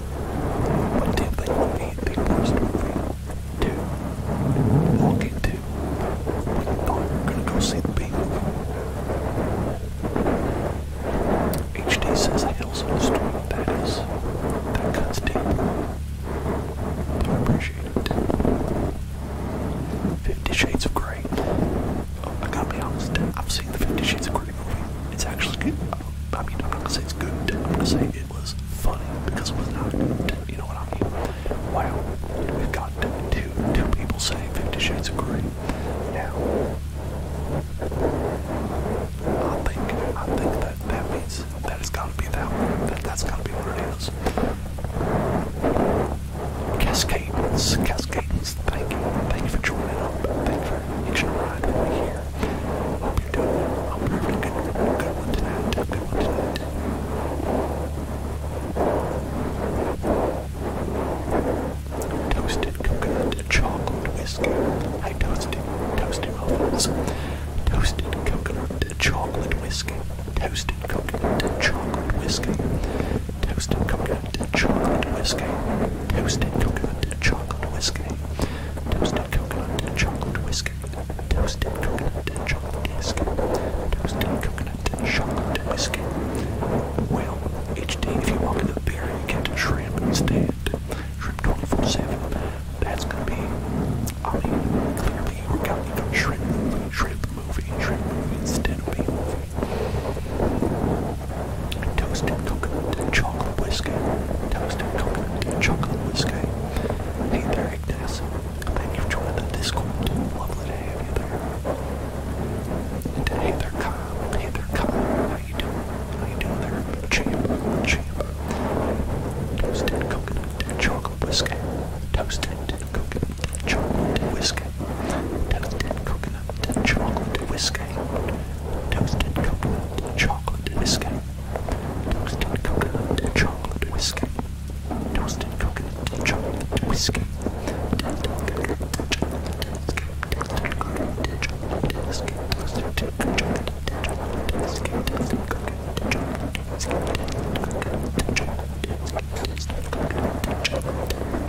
But did they need movie to walk into when oh, you're gonna go see the B movie? HD says Hell's on the Storm. That is, that cuts deep. I appreciate it. Fifty Shades of Grey. Oh, I gotta be honest, I've seen the Fifty Shades of Grey it's actually good. I mean, I'm not gonna say it's good. I'm gonna say it was funny because it was not You know what I mean? Wow, we two people saying Fifty Shades of Grey. Now, I think I think that that means that it's to be that That that's to be what it is. Cascades, Cascades. Thank you, thank you for joining up. Thank you for hitching a ride with here. I'm having a good, A good one tonight. Toasted coconut chocolate whiskey. I toasted toasted muffins. Toasted coconut chocolate whiskey. Toasted coconut chocolate whiskey. Toasted coconut chocolate whiskey. Toasted coconut chocolate whiskey. Toasted coconut chocolate whiskey. Toasted coconut and chocolate whiskey. Toasted coconut and chocolate whiskey. Toasted coconut and chocolate whiskey. Well, each day if you walk into the beer, you get shrimp instead. Shrimp 24 7. That's gonna be, I mean, clearly you were counting on shrimp movie, shrimp movie, shrimp movie instead of movie. Toasted coconut chocolate whiskey. Toasted coconut chocolate whiskey. Hey there, Ignace. Thank you for the Discord. Lovely to have you there. And uh, hey there, Kyle. Hey there, Kyle. How you doing? How you doing there? Champ. Champ. Toasted coconut chocolate whiskey. Toasted coconut chocolate whiskey. Toasted coconut chocolate whiskey. Toasted coconut, chocolate whiskey. Toasted coconut, chocolate whiskey. Toasted
coconut, chocolate whiskey. Toasted coconut, chocolate whiskey. Toasted coconut, chocolate whiskey. Toasted coconut, chocolate whiskey. Toasted coconut, chocolate whiskey. Toasted coconut, chocolate whiskey. Toasted coconut, chocolate
whiskey.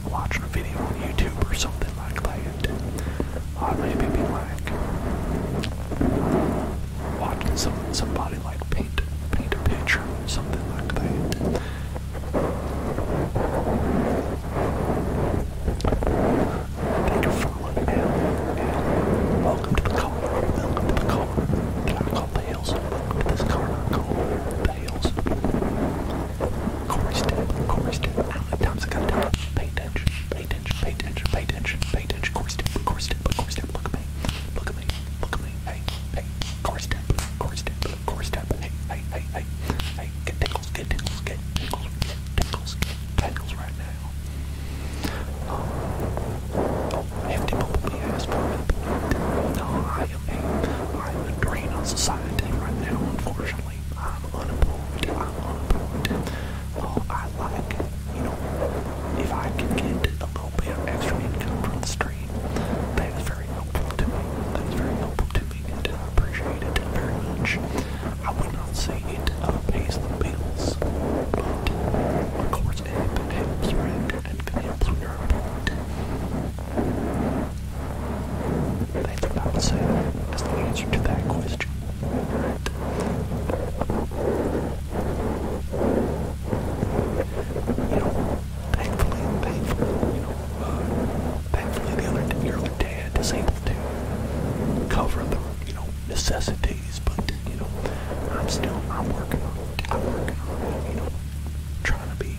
watching a video on YouTube or something like that. I'd be like watching some somebody like paint paint a picture, something like that. Thank you for following Welcome to the car. Welcome to the car that I call the hills. Welcome to this car the heels. Corey's dead. Corey's dead. How many times I gotta tell Pay attention. Pay attention. Pay attention. Pay attention. Pay attention. Corey's dead. Corey's dead. Corey's dead. Look at me. Look at me. Look at me. Hey. Hey. Corey's dead. Corey's dead. Corey's dead. Hey. Hey. Hey. Hey. Hey. Get tingles. Get tingles. Get tingles. Get tingles. Get tingles right now. Um, oh, hefty bumblebee has for me. No, I I'm a drain on society right now, unfortunately. I'm unemployed. I'm unemployed. Well, I like, you know, if I can get a little bit of extra income from the street, that is very helpful to me. That is very helpful to me, and I appreciate it very much. I would not say it uh, pays the bills, but of course it helps, right? It helps unemployed. They did not say that the answer to that question. You know, thankfully, thankfully, you know, uh, thankfully the other day, your dad is able to cover the, you know, necessities, but, you know, I'm still, I'm working on it, I'm working on you know, trying to be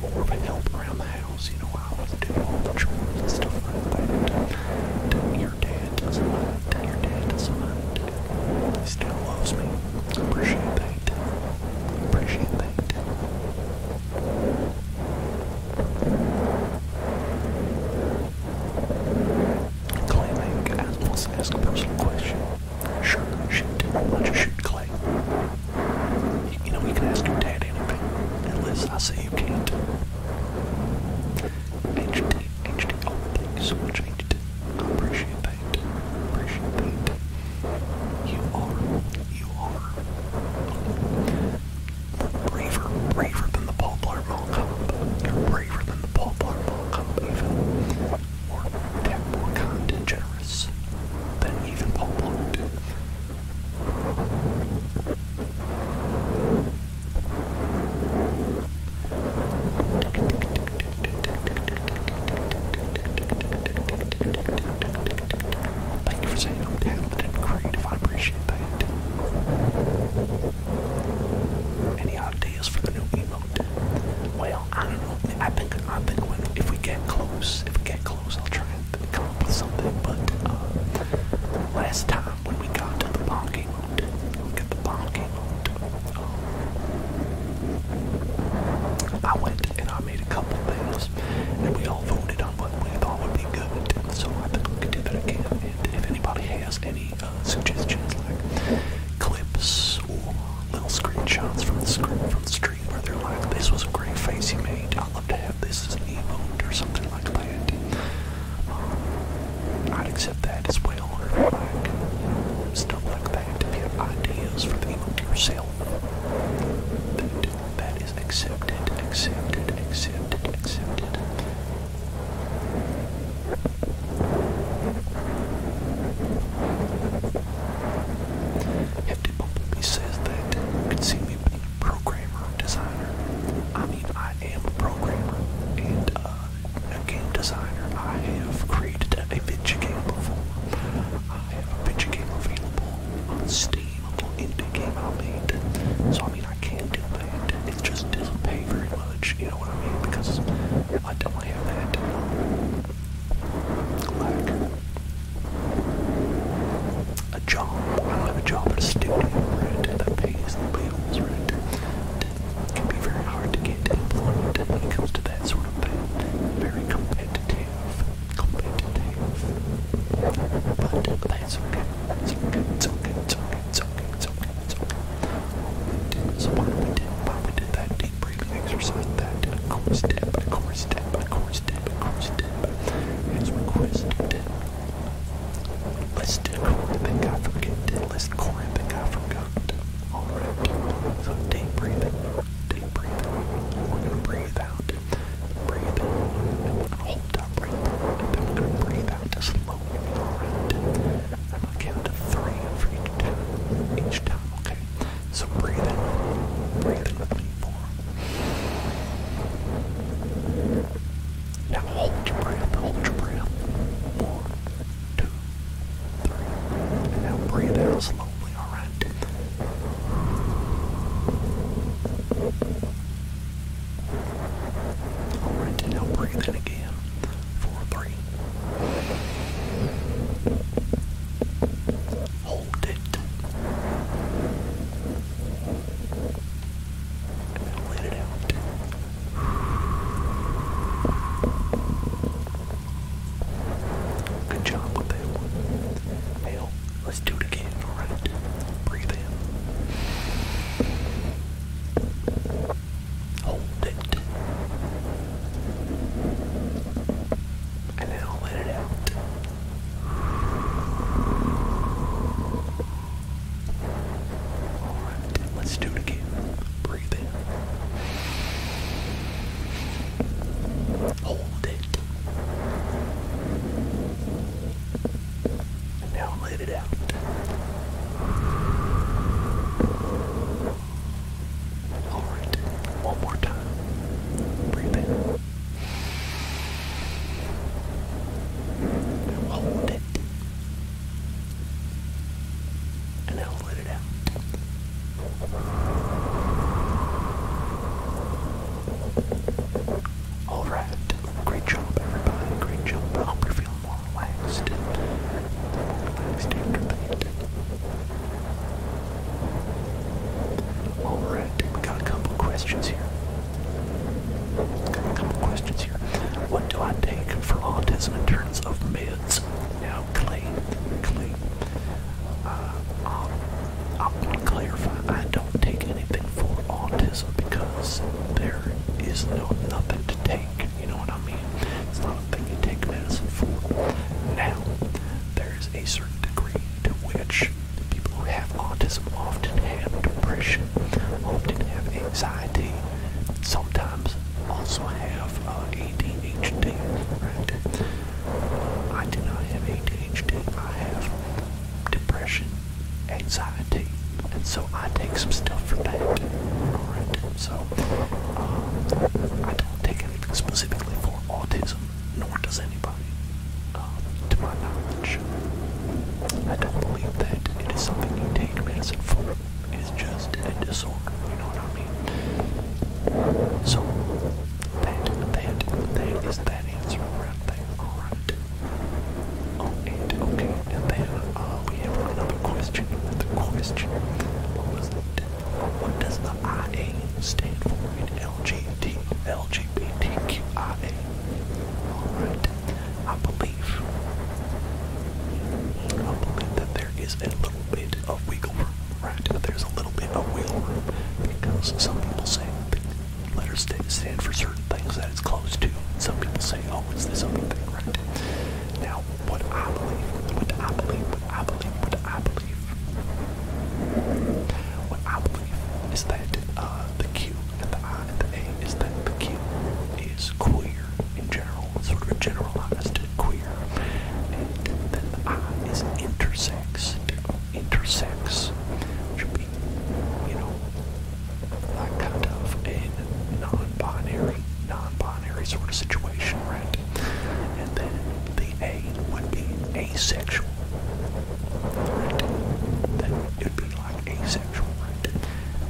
more of a help around the house. You know, I would do all the chores and stuff like that. And uh, your dad doesn't mind. And your dad doesn't mind. He still loves me. Appreciate that. Appreciate that. Clay Meg wants to ask a personal question. Sure, shoot. Why don't you shoot Clay? You know, we can ask your dad anything, unless I say you can't. HD, HD, oh, thank you so much, HD. I appreciate that. Appreciate that. You are, you are braver, braver than the Paul Blart Mall You're braver than the Paul Blart Mall even. More, more kind and generous than even Paul Blart. Thank you for saying I'm talented and creative. I appreciate that. Any ideas for the new emote? Well, I don't know. I think I think when if we get close, if we get close, I'll try come up with something, but
uh, last time when we got to the parking lot, we the parking
um, I went and I made a couple things, and we all voted on what we thought would be good, so I've been looking to do that again, and if anybody has any uh, suggestions like clips or little screenshots from the, screen, from the street, screen where they're like, this was a great face you made. I'd love to have this as an emote or something like that. Um, I'd accept that as well. Or like, stuff like that. If you have ideas for the emote yourself, that is accepted, accepted, accepted, accepted. Hefty publicly says that you can see me programmer designer. I mean, I am a programmer and uh, a game designer. I have created a video game before. I have a video game available on Steam, a little indie game I made. So, I mean, I can do that. It just doesn't pay very much, you know what I mean? Because I don't have that. Like, a job. I don't have a job but a studio, right? That pays the bills, right? It can be very hard to get employed when it comes to that sort of thing. Very competitive. Competitive. But that's okay. It's okay. It's okay. It's okay. It's okay. It's okay. So why we do, why we do that deep breathing exercise? That core step, a core step, a core step dip, orange dip. Here's request dip. Let's do Corinth and God forget dip. Let's Corinth and God forgot. Alright. So deep breathing. Deep breathing. We're gonna breathe out. Breathe in.
Hold that breath. And then we're gonna breathe out to slowly. Alright. I'm gonna count to three for each time. Each time, okay? So breathe in. Breathe in with me. Four.
Now hold your breath. Hold your breath. One, two, three. now breathe out slowly. All right. All right. now breathe in again. Four, three let Good job with that Hell, let's do it again, alright? Breathe in. Hold it and then I'll let it out. let's do it again. Breathe in. Hold it. And now let it out. Alright, one more time. Breathe in hold it. And now let it out. Alright. Great job, everybody. Great job. I hope you're feeling more relaxed. More relaxed after that. While it, we got a couple questions here. couple questions here. What do I take for autism in terms of meds? Now, Clay, Clay, uh, I'll, I'll clarify. I don't take anything for autism because there is no nothing to take. You know what I mean? It's not a thing you take medicine for. Now, there is a certain degree to which the people who have autism often have depression, often have anxiety, sometimes also have uh, ADHD, I do not have ADHD, I have depression, anxiety, and so I take some stuff for that, So, um, I don't take anything specifically for autism, nor does anybody, um, to my knowledge. I don't believe that it is something you take medicine for. It is just a disorder, you know what I mean? So, that, that, that is that answer right there, alright. Oh, and, okay, and then, uh, we have another question, another question. What was it? What does IA stand for in LGBT, LGBTQIA. believe, I believe that there is a little bit of wiggle room, right? There's a little bit of wiggle room because some people say letters stand for certain things that it's close to. Some people say, oh, it's this other thing, right? Now, what I believe, what I believe, what I believe, what I believe what I believe is that uh, the Q and the I and the A is that the Q is queer in general, sort of generalized queer, and then the I is intersex. Intersex should be, you know, like kind of a non-binary, non-binary sort of situation, right? And then the A would be asexual right? it'd be like asexual, right?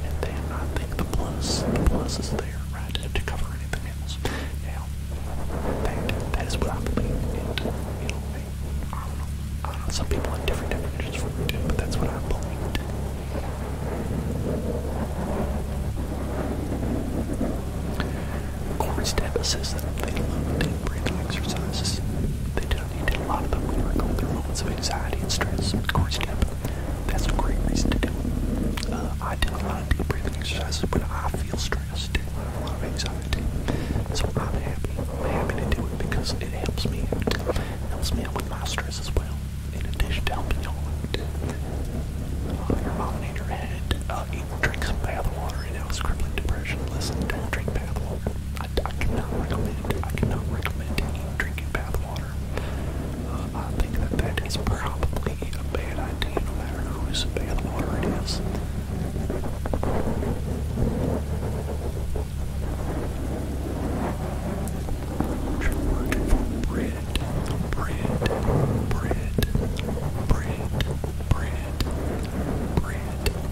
And then I think the plus, the plus is there, right, to cover anything else. Now, that, that is what I believe. And, you know, I don't know. I don't know. Some people have different definitions for it, but that's what I believed core step assists them. They love deep breathing exercises. They do not need to. A lot of them we're going through moments of anxiety and stress. Core step. That's a great reason to do it. Uh, I do a lot of deep breathing exercises when I feel stressed. I have a lot of anxiety. So I'm happy. I'm happy to do it because it helps me out. helps me out with my stress as well. In addition to helping all out. Uh, your mom head drink some bath water. and know, it's crippling depression. Listen, don't drink bath water. I, cannot recommend. I cannot recommend drinking bath water. Uh, I think that that is probably a bad idea, no matter whose bath water it is. bread, bread, bread, bread, bread, bread, bread,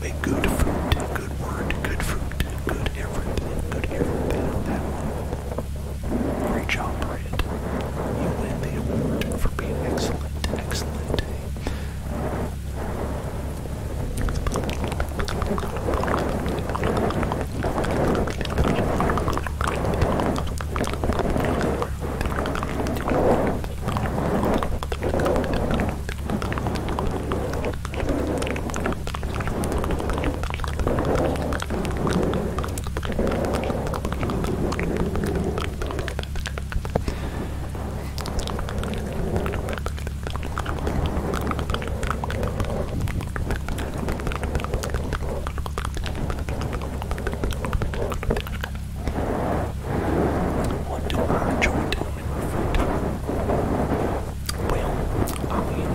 a good fruit, good word, good fruit, good everything, good everything. That one. Great job, Brad. You win the award for being excellent, excellent day. What do I enjoy doing in my free time? Well, I mean,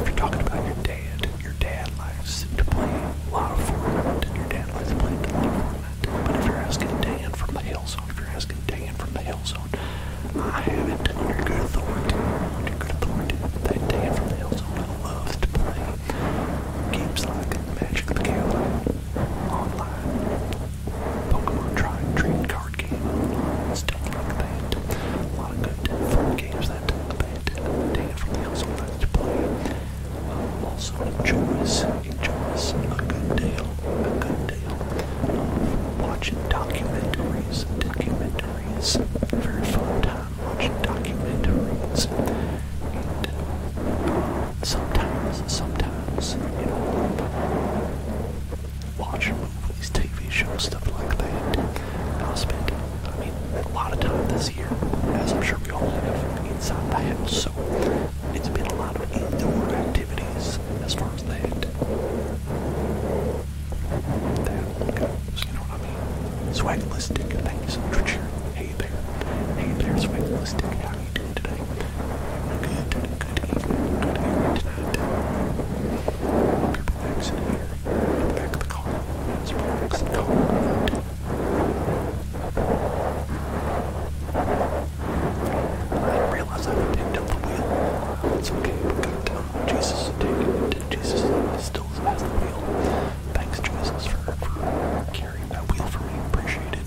if you're talking about your dad, your dad likes to play a your dad likes to play a But if you're asking Dan from the Hillzone, if you're asking Dan from the Hillzone, I have it under good authority, under good authority, that Dan from the Hillzone loves to play games like Magic the Gathering, online, Pokemon Try and Trade card game, stuff like that. A lot of good fun games that abandon taken from the household that to play. Um, also enjoys, enjoys a good deal, a good deal watching documentaries, documentaries. Very fun time watching documentaries. Uh, sometimes, sometimes, you know, watch movies, TV shows, stuff like that. And I spent, I mean, a lot of time this year, as I'm sure we all have, inside the house. So it's been a lot of indoor activities as far as that. That goes, you know what I mean? Swagalistic, thank you for cheering. Hey there. Hey there, Swagalistic. How you doing today? Good, good evening, good evening tonight.
Hope you're relaxing here in the back of the car. It's relaxing car ride.
I didn't realize I haven't picked up the wheel. It's okay, but God damn, Jesus did it. Jesus still has the wheel. Thanks, Jesus, for, for carrying that wheel for me. Appreciate it.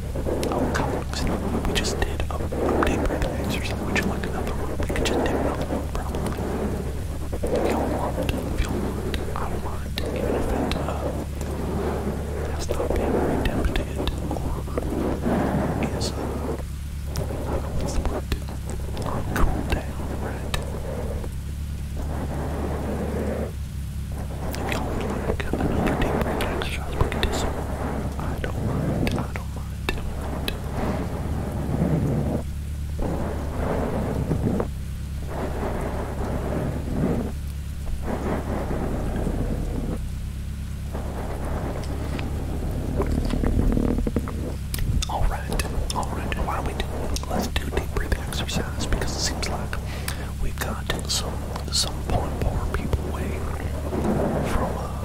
Oh, come on! We just did a update breathing exercise. Would you like another one? We could just do another one, probably. If y'all want, if y'all want, I don't mind. Even if it uh, has not been redempted or is, uh, I don't know what's cool down, right? If y'all would like another deep breathing exercise, we could do some. I don't mind, I don't Alright, alright, why don't we do let's do deep breathing exercise because it seems like we've got some some point poor people way from uh,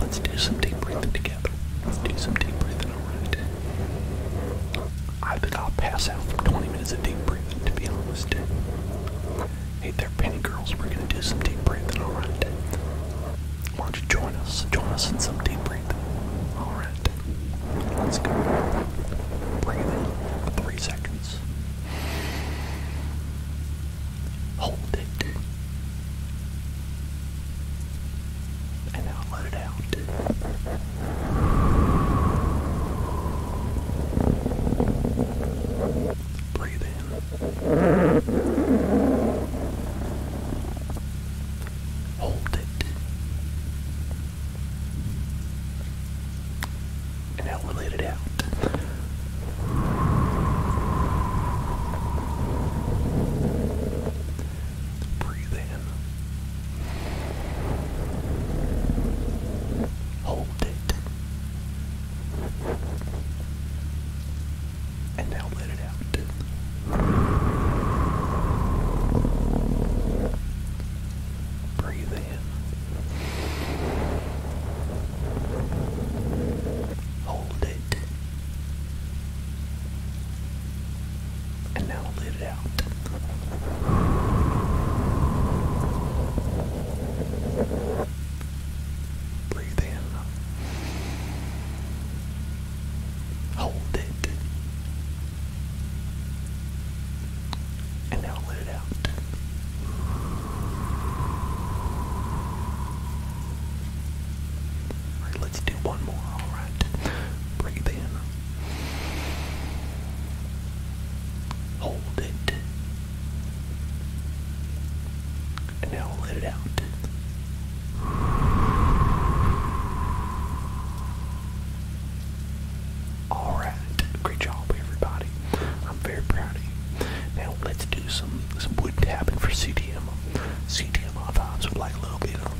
Let's do some deep breathing together. Let's do some deep breathing, alright? I think I'll pass out from 20 minutes of deep breathing, to be honest. Hey there, penny girls, we're gonna do some deep breathing, alright? Why don't you join us? Join us in some deep breathing. Alright. Let's go. Breathe in for three seconds. Hold it. And now let it out.
Breathe in. Hold it.
And now let it out. Breathe in. Hold it. And now let it out. Breathe in. Hold it. And now let it out. Breathe in. Hold it. And now let it out let's do one more. Alright. Breathe in. Hold it. And now let it out. Alright. Great job everybody. I'm very proud of you. Now let's do some some wood tapping for CDM. CDMR vibes would like a little bit of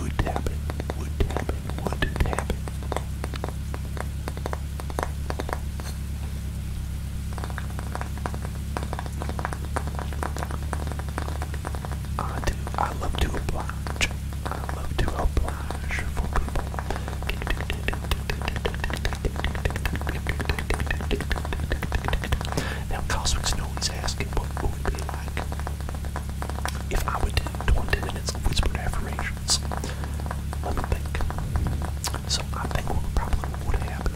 wood tapping, wood tapping, wood tapping. I do. I love to oblige. I love to oblige for people. Now, Cosmic's always asking what it would be like if I would do 20 minutes of whispered affirmations. Let me think. So, I think what would probably would happen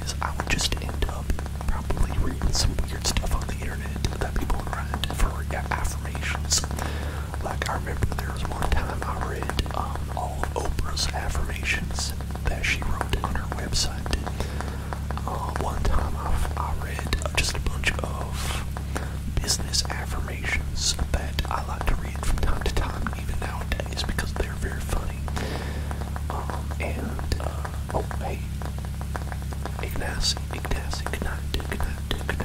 is I would just end up probably reading some weird stuff on the internet that people are writing for affirmations. Like, I remember there was one time I read um, all Oprah's affirmations that she wrote on her website. one time i read just a bunch of business affirmations that I like to read from time to time, even nowadays, because they're very funny. and, oh, hey, Ignacy, Ignacy, good night, good night, good night,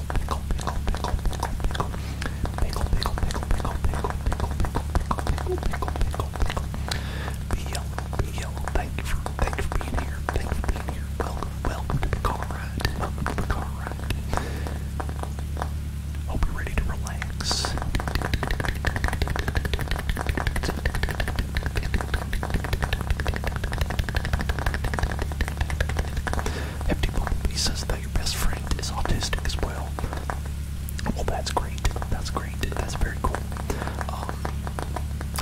yellow, yellow. Thank you for, thank you for being here.
Thank you for being here. Welcome, welcome to the car ride. Welcome to the car ride. Hope you're ready to relax. Empty Bumblebee says your best friend is autistic as well. Well, that's great. That's great. That's very cool.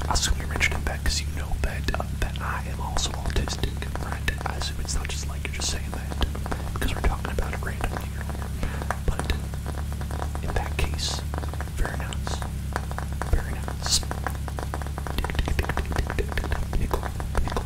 I assume you're mentioning that because you know that that I am also autistic, right? I assume it's not just like you're just saying that because we're talking about it randomly earlier. But in that case, very nice. Very nice. Pickle, pickle,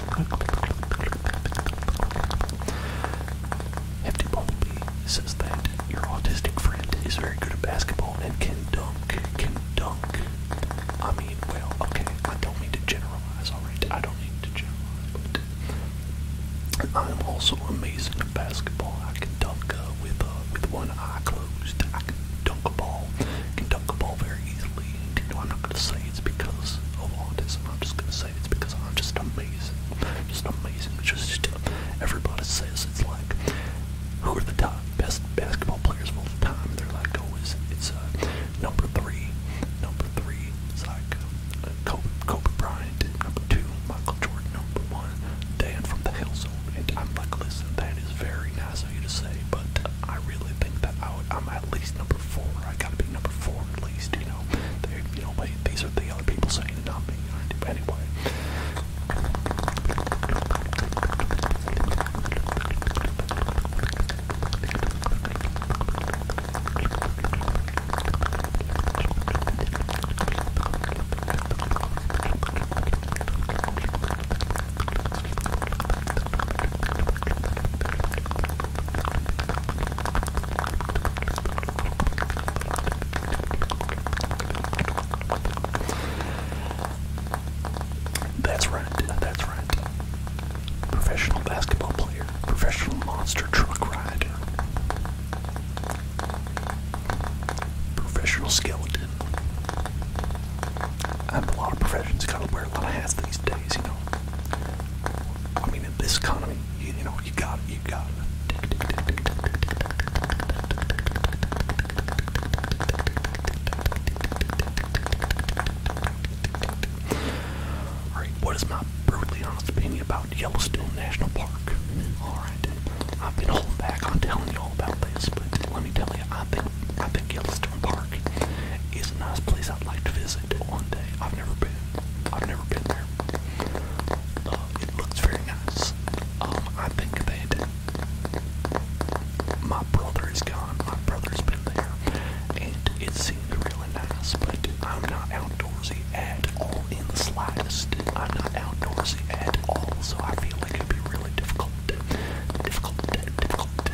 Hefty says that your autistic friend is very good at basketball and can dunk, can dunk. I mean, well, okay, I don't mean to generalize, alright? I don't mean to generalize, but I am also amazing at basketball. I can dunk uh, with uh, with one eye closed. I can dunk a ball, can dunk a ball very easily. You know, I'm not going to say it's because of autism. I'm just going to say it's because I'm just amazing. Just amazing. Just everybody says it's like, who are the top best basketball players of all the time? And they're like, oh, it's, it's uh, number three. Number three is like uh, Kobe, Kobe Bryant. Number two, Michael Jordan. Number one, Dan from the Hill Zone. And I'm like, listen, that is very nice you to say, but I really think that I would, I'm at least number four. I gotta be number four at least, you know. you know, like, these are the other people saying it, not me. You know, anyway. That's right, that's right. Professional basketball player, professional monster truck rider, professional skeleton. I have a lot of professions gotta wear a lot of hats these days, you know. I mean, in this economy, you, know, you got you got Alright, what is my brutally honest opinion about Yellowstone National Park? Alright, I've been holding back on telling you all about this, but let me tell you, I think, I think Yellowstone Western Park is a nice place I'd like to visit one day. I've never been. I've never been there. Uh, it looks very nice. Um, I think that my brother is gone. My brother's been there, and it seemed really nice. But I'm not outdoorsy at all in the slightest. I'm not outdoorsy at all, so I feel it'd be really difficult, difficult, difficult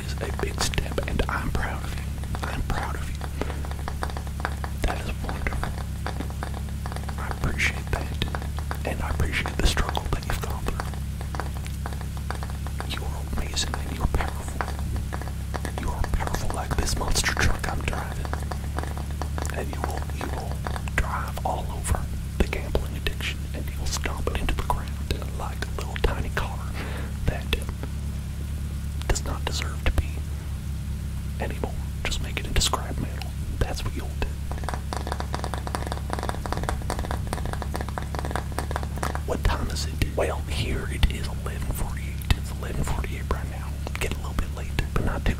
is a big step, and I'm proud of you. I'm proud of you. That is wonderful. I appreciate that, and I appreciate the struggle that you've gone through. You are amazing and you're powerful. You are powerful like this monster truck I'm driving, and you will you will drive all over the gambling addiction and he'll stomp it into the ground like a little tiny car that does not deserve to be anymore. Just make it into scrap metal. That's what you'll do. What time is it? Well, here it is
11:48. It's 11:48 right now. Get a little bit late, but not too late.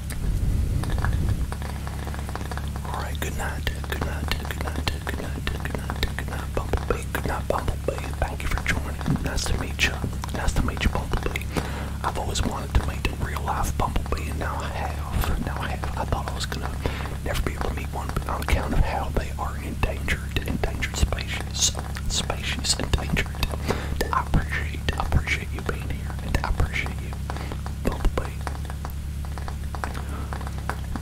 All right, good night, good night, good night, good night, good night, good night, Bumblebee, good night, Bumblebee. Thank you for joining. Nice to meet you. Nice to meet you, Bumblebee. I've always wanted to meet a real life Bumblebee, and now I have. Now I have. I thought I was gonna never be able to meet one, but on account of how they are endangered, endangered species, species endangered. I appreciate, I appreciate you being here, and I appreciate you. Bumblebee.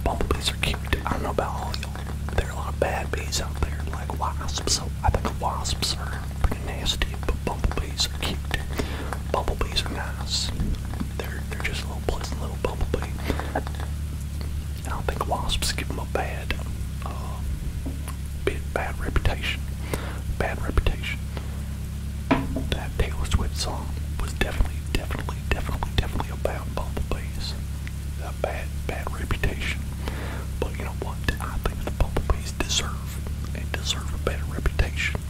Bumblebees are cute. I don't know about all y'all. There are a lot of bad bees out there, like wasps. So I think wasps are pretty nasty, but bumblebees are cute. Bumblebees are nice. They're they're just little pleasant little bumblebee. I don't think wasps give them a bad, uh, bit bad reputation. Bad reputation. That Taylor Swift song was definitely, definitely, definitely, definitely about bumblebees. A bad, bad reputation. But you know what? I think the bumblebees deserve and deserve a better reputation.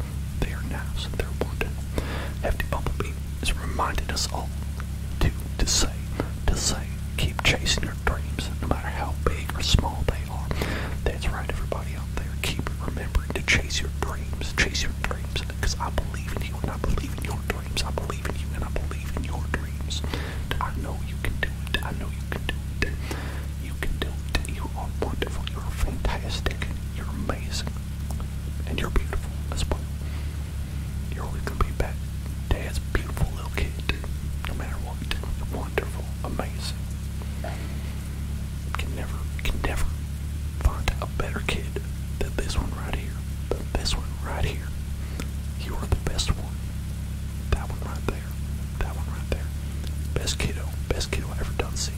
They are nice and they're wanted. Hefty Bumblebee has reminded us all to to say, to say, keep chasing your dreams, no matter how big or small they are. That's right, everybody everybody out there, keep remembering to chase your dreams. Chase your dreams because I believe in you and I believe in your dreams. I believe in you and I believe in your dreams. I know you can do it. I know you can do it. You can do it. You are wonderful. You're fantastic. You're amazing. And you're beautiful as well. You're only going to be back. Dad's beautiful little kid. No matter what. you're Wonderful. Amazing. Can never, can never find a better kid than this one right here. Than this one right here. You are the best one. That one right there. That one right there. Best kiddo. Best kiddo I ever done seen.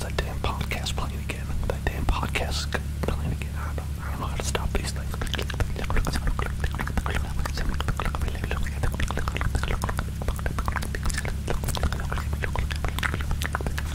That damn podcast playing again. That damn podcast playing again. I don't, I don't know how to stop these things.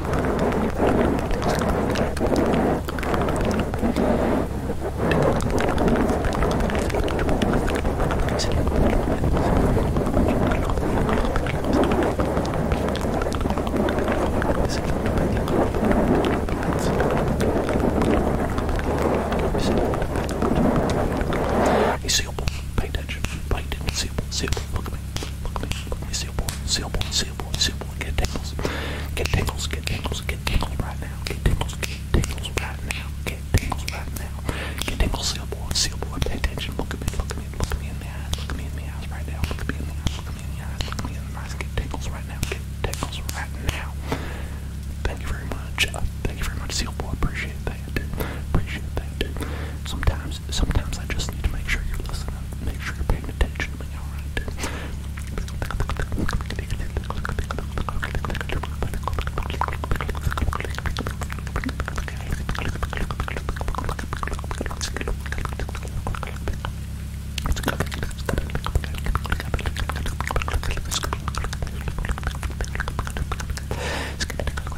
You see, pay attention, pay attention, see, see, look at me. Look at me, look at me, seal boy, seal boy, seal boy, seal boy. Get tingles, get tingles, get tingles, get tingles right now. Get tingles, get tingles right now. Get tingles right now. Get tingles, seal boy, seal boy. Pay attention. Look at me, look at me, look at me in the eyes. Look at me in the eyes right now. Look at me in the eyes. Look at me in the eyes. Look at me in the eyes. Get tingles right now. Get tingles right now. Thank you very much. thank you very much, seal boy. Appreciate that. Appreciate that. Sometimes sometimes I just need to make sure you're listening, make sure you're paying attention to me, alright?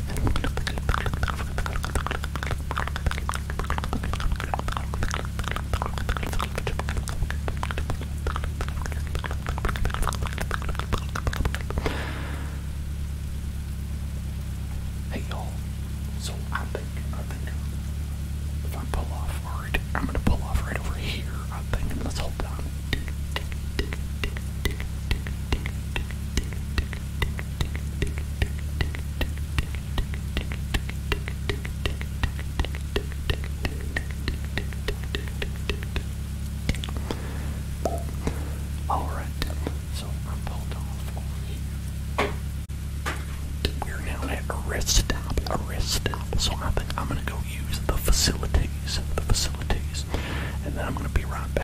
Hey y'all, so I think, I think if
I pull off, alright, I'm gonna pull off right over here, I think, and let's hold down. Alright, so I'm pulled off We're now at a rest stop, a rest stop. So I think I'm gonna
go use the facilities, the facilities, and then I'm gonna be right back.